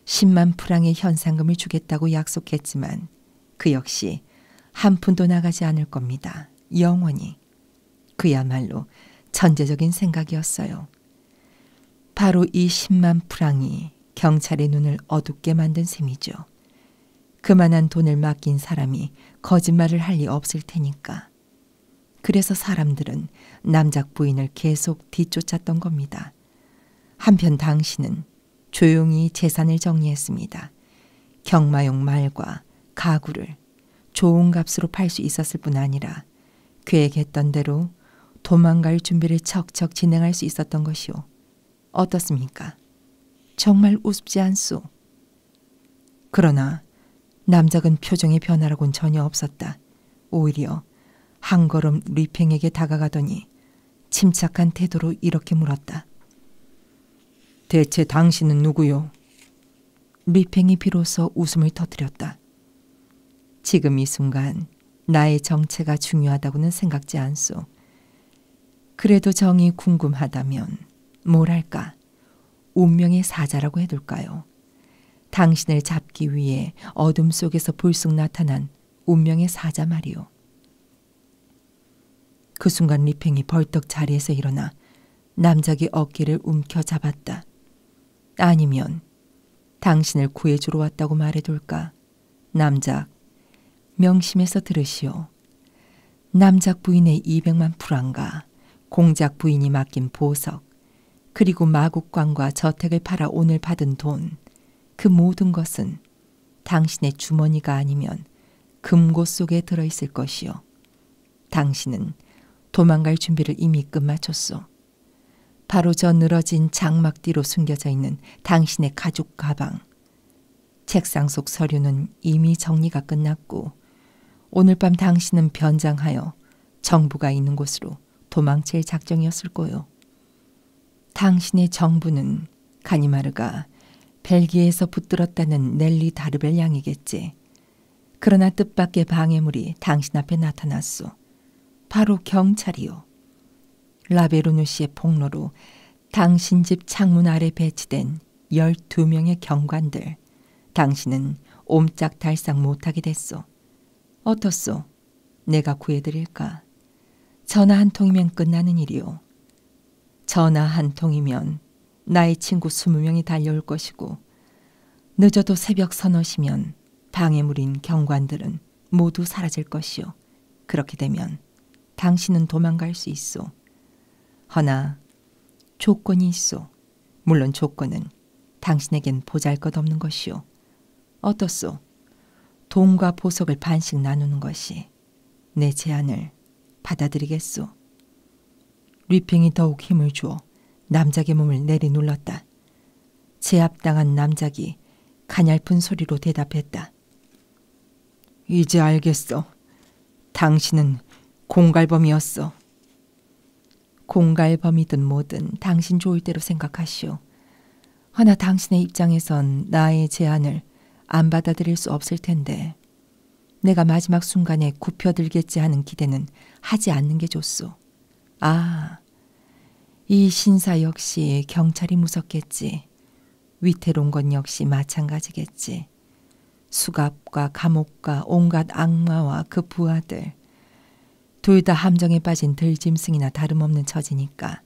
A: 10만 프랑의 현상금을 주겠다고 약속했지만 그 역시 한 푼도 나가지 않을 겁니다. 영원히. 그야말로 천재적인 생각이었어요. 바로 이 10만 프랑이 경찰의 눈을 어둡게 만든 셈이죠. 그만한 돈을 맡긴 사람이 거짓말을 할 리 없을 테니까. 그래서 사람들은 남작 부인을 계속 뒤쫓았던 겁니다. 한편 당신은 조용히 재산을 정리했습니다. 경마용 말과 가구를 좋은 값으로 팔 수 있었을 뿐 아니라 계획했던 대로 도망갈 준비를 척척 진행할 수 있었던 것이오. 어떻습니까? 정말 우습지 않소. 그러나 남작은 표정의 변화라곤 전혀 없었다. 오히려 한 걸음 리팽에게 다가가더니 침착한 태도로 이렇게 물었다. 대체 당신은 누구요? 리팽이 비로소 웃음을 터뜨렸다. 지금 이 순간 나의 정체가 중요하다고는 생각지 않소. 그래도 정이 궁금하다면 뭐랄까 운명의 사자라고 해둘까요? 당신을 잡기 위해 어둠 속에서 불쑥 나타난 운명의 사자 말이오. 그 순간 리팽이 벌떡 자리에서 일어나 남작의 어깨를 움켜잡았다. 아니면 당신을 구해주러 왔다고 말해둘까? 남작, 명심해서 들으시오. 남작 부인의 200만 프랑과 공작 부인이 맡긴 보석, 그리고 마국관과 저택을 팔아 오늘 받은 돈, 그 모든 것은 당신의 주머니가 아니면 금고 속에 들어 있을 것이요. 당신은 도망갈 준비를 이미 끝마쳤소. 바로 저 늘어진 장막 뒤로 숨겨져 있는 당신의 가죽 가방. 책상 속 서류는 이미 정리가 끝났고 오늘 밤 당신은 변장하여 정부가 있는 곳으로 도망칠 작정이었을 거요. 당신의 정부는 가니마르가 벨기에에서 붙들었다는 넬리 다르벨 양이겠지. 그러나 뜻밖의 방해물이 당신 앞에 나타났소. 바로 경찰이요. 라베르누 씨의 폭로로 당신 집 창문 아래 배치된 12명의 경관들. 당신은 옴짝달싹 못하게 됐소. 어떻소? 내가 구해드릴까? 전화 한 통이면 끝나는 일이오. 전화 한 통이면 나의 친구 20명이 달려올 것이고 늦어도 새벽 서너시면 방해물인 경관들은 모두 사라질 것이요. 그렇게 되면 당신은 도망갈 수 있소. 허나 조건이 있소. 물론 조건은 당신에겐 보잘것없는 것이요. 어떻소? 돈과 보석을 반씩 나누는 것이 내 제안을 받아들이겠소. 리핑이 더욱 힘을 주어 남작의 몸을 내리눌렀다. 제압당한 남작이 가냘픈 소리로 대답했다. 이제 알겠어. 당신은 공갈범이었어. 공갈범이든 뭐든 당신 좋을 대로 생각하시오. 허나 당신의 입장에선 나의 제안을 안 받아들일 수 없을 텐데 내가 마지막 순간에 굽혀들겠지 하는 기대는 하지 않는 게 좋소. 아, 이 신사 역시 경찰이 무섭겠지. 위태로운 건 역시 마찬가지겠지. 수갑과 감옥과 온갖 악마와 그 부하들. 둘 다 함정에 빠진 들짐승이나 다름없는 처지니까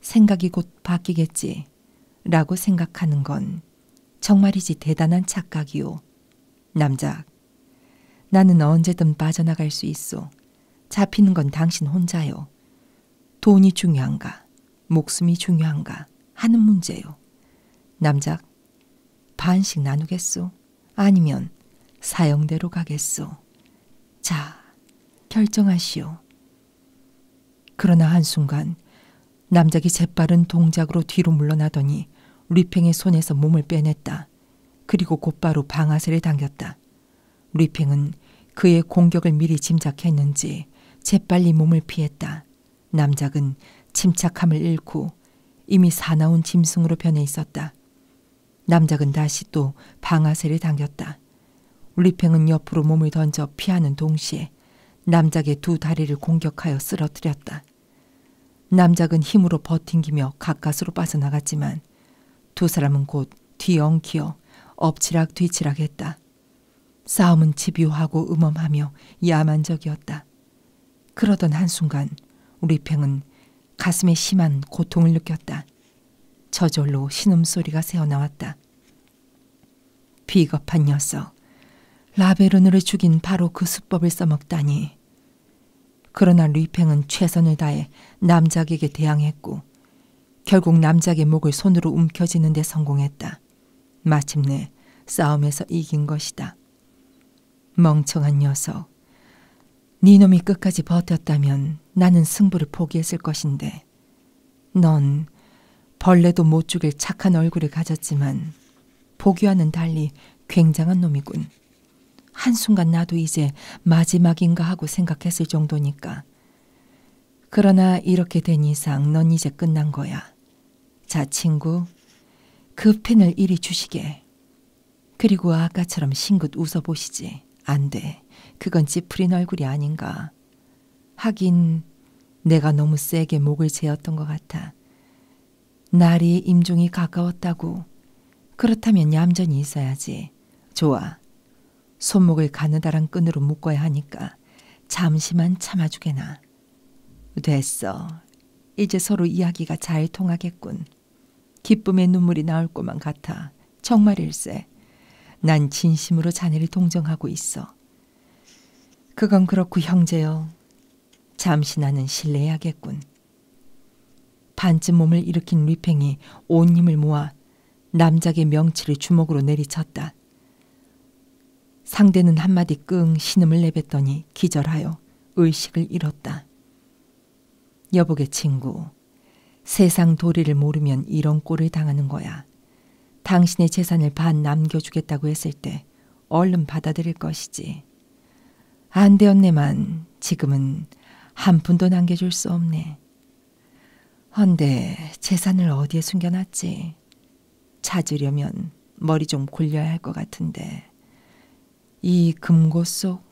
A: 생각이 곧 바뀌겠지. 라고 생각하는 건 정말이지 대단한 착각이오. 남작, 나는 언제든 빠져나갈 수 있어. 잡히는 건 당신 혼자요. 돈이 중요한가, 목숨이 중요한가 하는 문제요. 남작, 반씩 나누겠소? 아니면 사형대로 가겠소? 자, 결정하시오. 그러나 한순간 남작이 재빠른 동작으로 뒤로 물러나더니 리팽의 손에서 몸을 빼냈다. 그리고 곧바로 방아쇠를 당겼다. 리팽은 그의 공격을 미리 짐작했는지 재빨리 몸을 피했다. 남작은 침착함을 잃고 이미 사나운 짐승으로 변해 있었다. 남작은 다시 또 방아쇠를 당겼다. 리팽은 옆으로 몸을 던져 피하는 동시에 남작의 두 다리를 공격하여 쓰러뜨렸다. 남작은 힘으로 버팅기며 가까스로 빠져나갔지만 두 사람은 곧 뒤엉키어 엎치락 뒤치락했다. 싸움은 집요하고 음험하며 야만적이었다. 그러던 한순간 리팽은 가슴에 심한 고통을 느꼈다. 저절로 신음소리가 새어나왔다. 비겁한 녀석, 라베르누를 죽인 바로 그 수법을 써먹다니. 그러나 루이팽은 최선을 다해 남작에게 대항했고 결국 남작의 목을 손으로 움켜쥐는 데 성공했다. 마침내 싸움에서 이긴 것이다. 멍청한 녀석. 네 놈이 끝까지 버텼다면 나는 승부를 포기했을 것인데 해. 넌 벌레도 못 죽일 착한 얼굴을 가졌지만 보기와는 달리 굉장한 놈이군. 한순간 나도 이제 마지막인가 하고 생각했을 정도니까. 그러나 이렇게 된 이상 넌 이제 끝난 거야. 자, 친구. 그 펜을 이리 주시게. 그리고 아까처럼 싱긋 웃어보시지. 안 돼. 그건 찌푸린 얼굴이 아닌가. 하긴 내가 너무 세게 목을 재었던 것 같아. 날이 임종이 가까웠다고. 그렇다면 얌전히 있어야지. 좋아. 손목을 가느다란 끈으로 묶어야 하니까 잠시만 참아주게나. 됐어. 이제 서로 이야기가 잘 통하겠군. 기쁨의 눈물이 나올 것만 같아. 정말일세. 난 진심으로 자네를 동정하고 있어. 그건 그렇고 형제여. 잠시 나는 실례해야겠군. 반쯤 몸을 일으킨 리팽이 온 힘을 모아 남작의 명치를 주먹으로 내리쳤다. 상대는 한마디 끙 신음을 내뱉더니 기절하여 의식을 잃었다. 여보게 친구, 세상 도리를 모르면 이런 꼴을 당하는 거야. 당신의 재산을 반 남겨주겠다고 했을 때 얼른 받아들일 것이지. 안 되었네만 지금은 한 푼도 남겨줄 수 없네. 헌데 재산을 어디에 숨겨놨지? 찾으려면 머리 좀 굴려야 할 것 같은데. 이 금고 속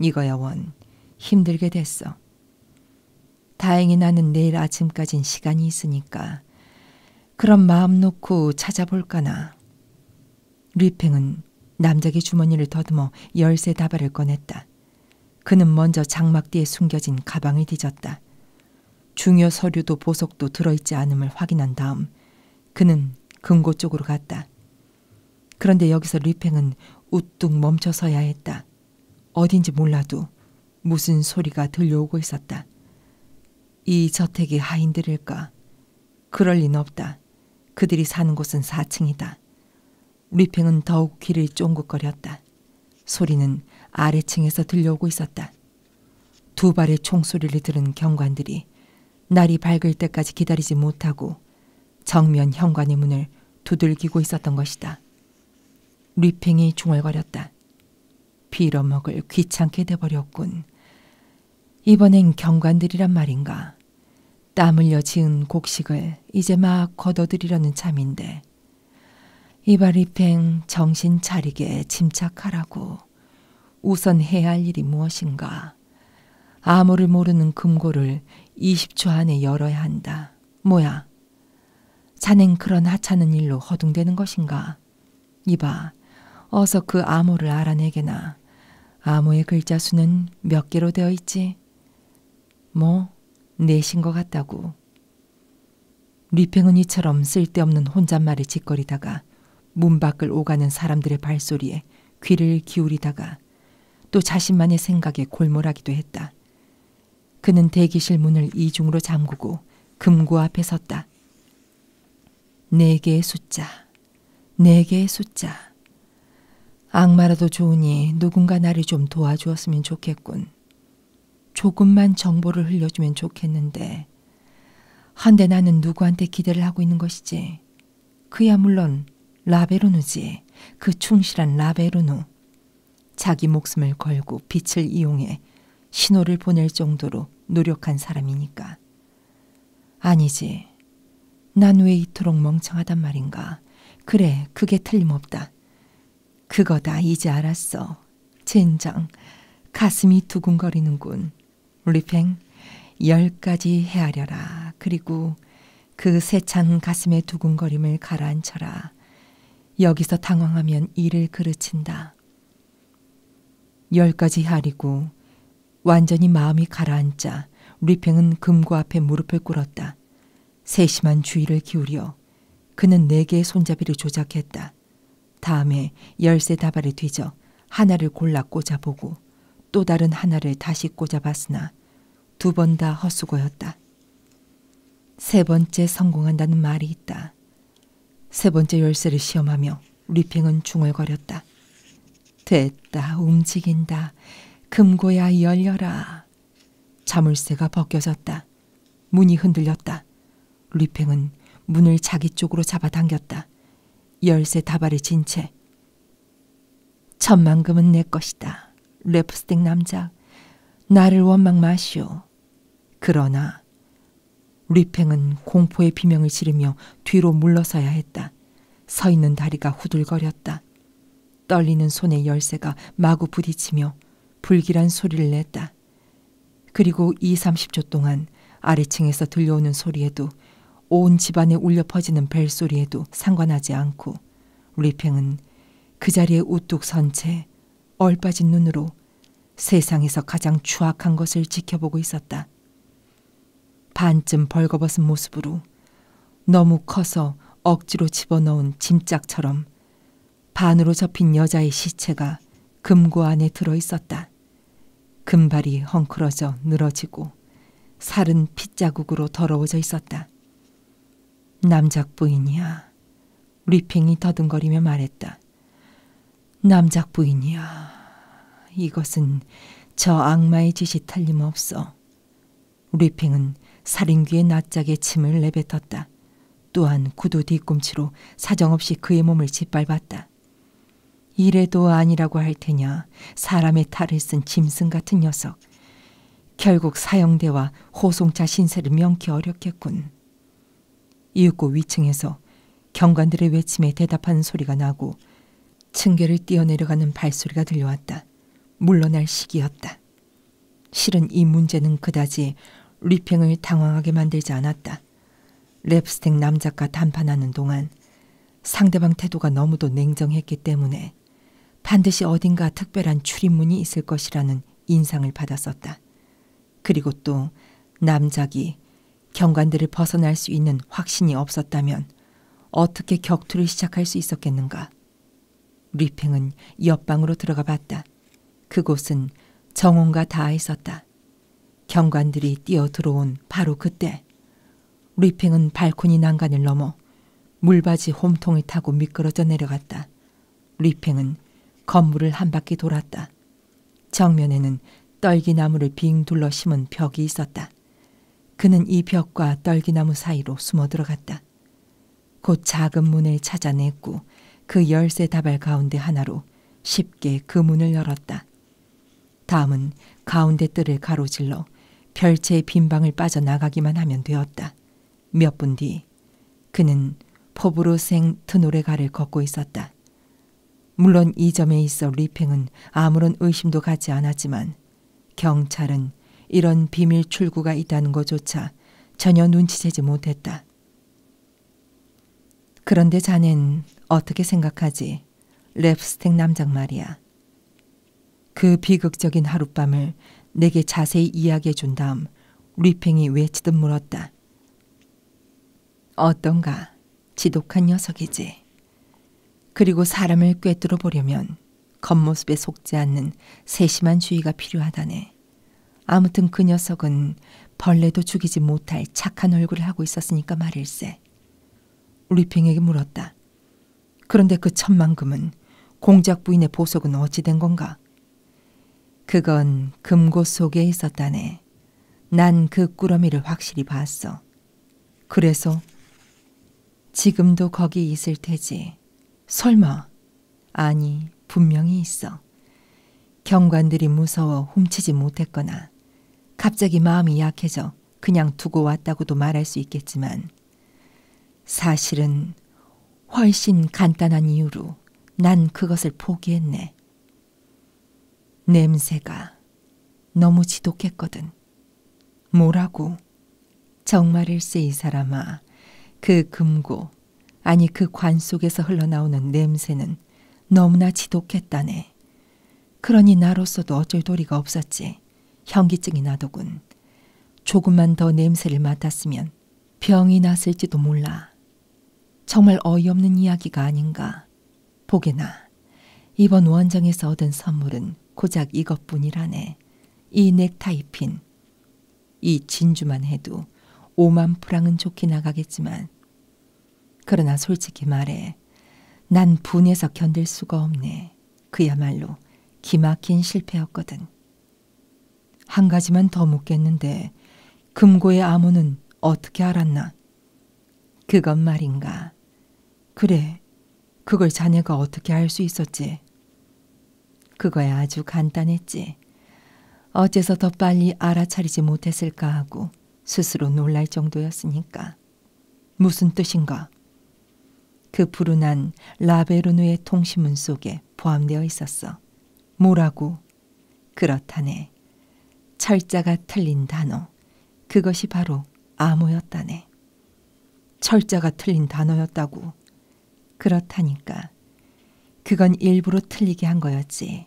A: 이거야 원 힘들게 됐어. 다행히 나는 내일 아침까진 시간이 있으니까 그럼 마음 놓고 찾아볼까나. 리팽은 남자기 주머니를 더듬어 열쇠 다발을 꺼냈다. 그는 먼저 장막 뒤에 숨겨진 가방을 뒤졌다. 중요 서류도 보석도 들어있지 않음을 확인한 다음 그는 금고 쪽으로 갔다. 그런데 여기서 리팽은 우뚝 멈춰서야 했다. 어딘지 몰라도 무슨 소리가 들려오고 있었다. 이 저택이 하인들일까? 그럴 리는 없다. 그들이 사는 곳은 4층이다. 리팽은 더욱 귀를 쫑긋거렸다. 소리는 아래층에서 들려오고 있었다. 두 발의 총소리를 들은 경관들이 날이 밝을 때까지 기다리지 못하고 정면 현관의 문을 두들기고 있었던 것이다. 리팽이 중얼거렸다. 빌어먹을 귀찮게 돼버렸군. 이번엔 경관들이란 말인가. 땀 흘려 지은 곡식을 이제 막 걷어들이려는 참인데. 이발이팽 정신 차리게 침착하라고. 우선 해야 할 일이 무엇인가. 아무를 모르는 금고를 20초 안에 열어야 한다. 뭐야, 자넨 그런 하찮은 일로 허둥대는 것인가? 이봐, 어서 그 암호를 알아내게나. 암호의 글자 수는 몇 개로 되어 있지? 뭐, 넷인 것 같다고. 리팽은 이처럼 쓸데없는 혼잣말을 짓거리다가 문 밖을 오가는 사람들의 발소리에 귀를 기울이다가 또 자신만의 생각에 골몰하기도 했다. 그는 대기실 문을 이중으로 잠그고 금고 앞에 섰다. 네 개의 숫자, 네 개의 숫자. 악마라도 좋으니 누군가 나를 좀 도와주었으면 좋겠군. 조금만 정보를 흘려주면 좋겠는데. 한데 나는 누구한테 기대를 하고 있는 것이지. 그야 물론 라베르누지. 그 충실한 라베르누. 자기 목숨을 걸고 빛을 이용해 신호를 보낼 정도로 노력한 사람이니까. 아니지. 난 왜 이토록 멍청하단 말인가. 그래, 그게 틀림없다. 그거다, 이제 알았어. 젠장, 가슴이 두근거리는군. 리팽, 열 가지 헤아려라. 그리고 그 세찬 가슴의 두근거림을 가라앉혀라. 여기서 당황하면 일을 그르친다. 열까지 하리고 완전히 마음이 가라앉자 리팽은 금고 앞에 무릎을 꿇었다. 세심한 주의를 기울여 그는 네 개의 손잡이를 조작했다. 다음에 열세 다발을 뒤져 하나를 골라 꽂아보고 또 다른 하나를 다시 꽂아봤으나 두 번 다 헛수고였다. 세 번째 성공한다는 말이 있다. 세 번째 열쇠를 시험하며 리핑은 중얼거렸다. 됐다, 움직인다. 금고야 열려라. 자물쇠가 벗겨졌다. 문이 흔들렸다. 리팽은 문을 자기 쪽으로 잡아당겼다. 열쇠 다발을 진 채. 천만금은 내 것이다. 랩스틱 남자. 나를 원망 마시오. 그러나 리팽은 공포의 비명을 지르며 뒤로 물러서야 했다. 서 있는 다리가 후들거렸다. 떨리는 손의 열쇠가 마구 부딪히며 불길한 소리를 냈다. 그리고 2, 30초 동안 아래층에서 들려오는 소리에도 온 집안에 울려 퍼지는 벨소리에도 상관하지 않고 리팽은 그 자리에 우뚝 선채 얼빠진 눈으로 세상에서 가장 추악한 것을 지켜보고 있었다. 반쯤 벌거벗은 모습으로 너무 커서 억지로 집어넣은 짐짝처럼 반으로 접힌 여자의 시체가 금고 안에 들어 있었다. 금발이 헝클어져 늘어지고 살은 핏자국으로 더러워져 있었다. 남작 부인이야. 리핑이 더듬거리며 말했다. 남작 부인이야. 이것은 저 악마의 짓이 탈림없어. 리핑은 살인귀의 낯짝에 침을 내뱉었다. 또한 구두 뒤꿈치로 사정없이 그의 몸을 짓밟았다. 이래도 아니라고 할 테냐. 사람의 탈을 쓴 짐승 같은 녀석. 결국 사형대와 호송차 신세를 명키 어렵겠군. 이윽고 위층에서 경관들의 외침에 대답하는 소리가 나고 층계를 뛰어내려가는 발소리가 들려왔다. 물러날 시기였다. 실은 이 문제는 그다지 리팽을 당황하게 만들지 않았다. 랩스텍 남작과 담판하는 동안 상대방 태도가 너무도 냉정했기 때문에 반드시 어딘가 특별한 출입문이 있을 것이라는 인상을 받았었다. 그리고 또 남작이 경관들을 벗어날 수 있는 확신이 없었다면 어떻게 격투를 시작할 수 있었겠는가. 리팽은 옆방으로 들어가 봤다. 그곳은 정온과 닿아 있었다. 경관들이 뛰어 들어온 바로 그때 리팽은 발코니 난간을 넘어 물바지 홈통을 타고 미끄러져 내려갔다. 리팽은 건물을 한 바퀴 돌았다. 정면에는 떨기나무를 빙 둘러 심은 벽이 있었다. 그는 이 벽과 떨기나무 사이로 숨어 들어갔다. 곧 작은 문을 찾아냈고 그 열쇠 다발 가운데 하나로 쉽게 그 문을 열었다. 다음은 가운데 뜰을 가로질러 별채의 빈방을 빠져나가기만 하면 되었다. 몇분뒤 그는 포브로생 트노레가를 걷고 있었다. 물론 이 점에 있어 리팽은 아무런 의심도 갖지 않았지만 경찰은 이런 비밀 출구가 있다는 것조차 전혀 눈치채지 못했다. 그런데 자넨 어떻게 생각하지? 랩스텍 남장 말이야. 그 비극적인 하룻밤을 내게 자세히 이야기해 준 다음 리팽이 외치듯 물었다. 어떤가 지독한 녀석이지. 그리고 사람을 꿰뚫어 보려면 겉모습에 속지 않는 세심한 주의가 필요하다네. 아무튼 그 녀석은 벌레도 죽이지 못할 착한 얼굴을 하고 있었으니까 말일세. 리팽에게 물었다. 그런데 그 천만금은 공작 부인의 보석은 어찌 된 건가? 그건 금고 속에 있었다네. 난 그 꾸러미를 확실히 봤어. 그래서 지금도 거기 있을 테지. 설마. 아니, 분명히 있어. 경관들이 무서워 훔치지 못했거나 갑자기 마음이 약해져 그냥 두고 왔다고도 말할 수 있겠지만 사실은 훨씬 간단한 이유로 난 그것을 포기했네. 냄새가 너무 지독했거든. 뭐라고? 정말일세 이 사람아. 그 금고, 아니 그 관 속에서 흘러나오는 냄새는 너무나 지독했다네. 그러니 나로서도 어쩔 도리가 없었지. 현기증이 나더군. 조금만 더 냄새를 맡았으면 있으면 병이 났을지도 몰라. 정말 어이없는 이야기가 아닌가. 보게나 이번 원정에서 얻은 선물은 고작 이것뿐이라네. 이 넥타이 핀. 이 진주만 해도 5만 프랑은 좋게 나가겠지만 그러나 솔직히 말해 난 분해서 견딜 수가 없네. 그야말로 기막힌 실패였거든. 한 가지만 더 묻겠는데 금고의 암호는 어떻게 알았나? 그건 말인가. 그래, 그걸 자네가 어떻게 알 수 있었지? 그거야 아주 간단했지. 어째서 더 빨리 알아차리지 못했을까 하고 스스로 놀랄 정도였으니까. 무슨 뜻인가? 그 불운한 라베르누의 통신문 속에 포함되어 있었어. 뭐라고? 그렇다네. 철자가 틀린 단어. 그것이 바로 암호였다네. 철자가 틀린 단어였다고. 그렇다니까. 그건 일부러 틀리게 한 거였지.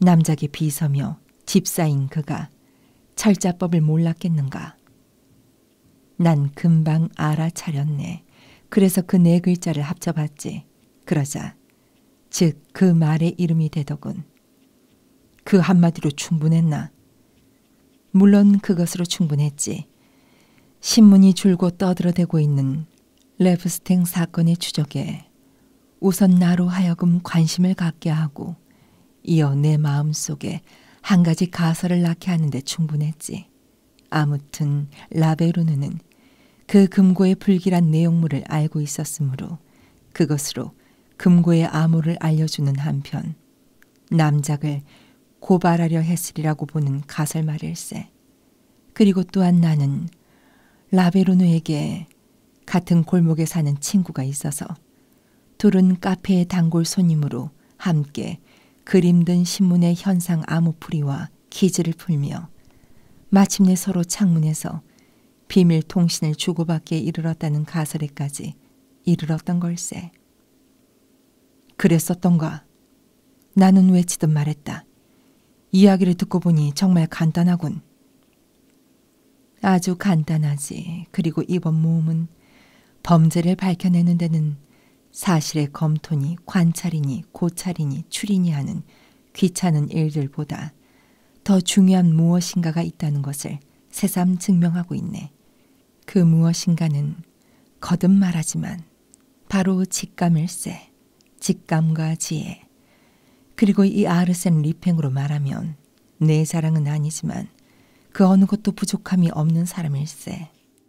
A: 남작의 비서며 집사인 그가 철자법을 몰랐겠는가. 난 금방 알아차렸네. 그래서 그 네 글자를 합쳐봤지. 이르되 그러자 즉 그 말의 이름이 되더군. 그 한마디로 충분했나? 물론 그것으로 충분했지. 신문이 줄고 떠들어대고 있는 레브스탱 사건의 추적에 우선 나로 하여금 관심을 갖게 하고 이어 내 마음속에 한 가지 가설을 낳게 하는 데 충분했지. 아무튼 라베르누는 그 금고의 불길한 내용물을 알고 있었으므로 그것으로 금고의 암호를 알려주는 한편 남작을 고발하려 했으리라고 보는 가설말일세. 그리고 또한 나는 라베르누에게 같은 골목에 사는 친구가 있어서 둘은 카페의 단골 손님으로 함께 그림든 신문의 현상 암호풀이와 기지를 풀며 마침내 서로 창문에서 비밀 통신을 주고받기에 이르렀다는 가설에까지 이르렀던 걸세. 그랬었던가. 나는 외치듯 말했다. 이야기를 듣고 보니 정말 간단하군. 아주 간단하지. 그리고 이번 모험은 범죄를 밝혀내는 데는 사실의 검토니 관찰이니 고찰이니 추리니 하는 귀찮은 일들보다 더 중요한 무엇인가가 있다는 것을 새삼 증명하고 있네. 그 무엇인가는 거듭 말하지만 바로 직감일세, 직감과 지혜, 그리고 이 아르센 리팽으로 말하면 내 사랑은 아니지만 그 어느 것도 부족함이 없는 사람일세.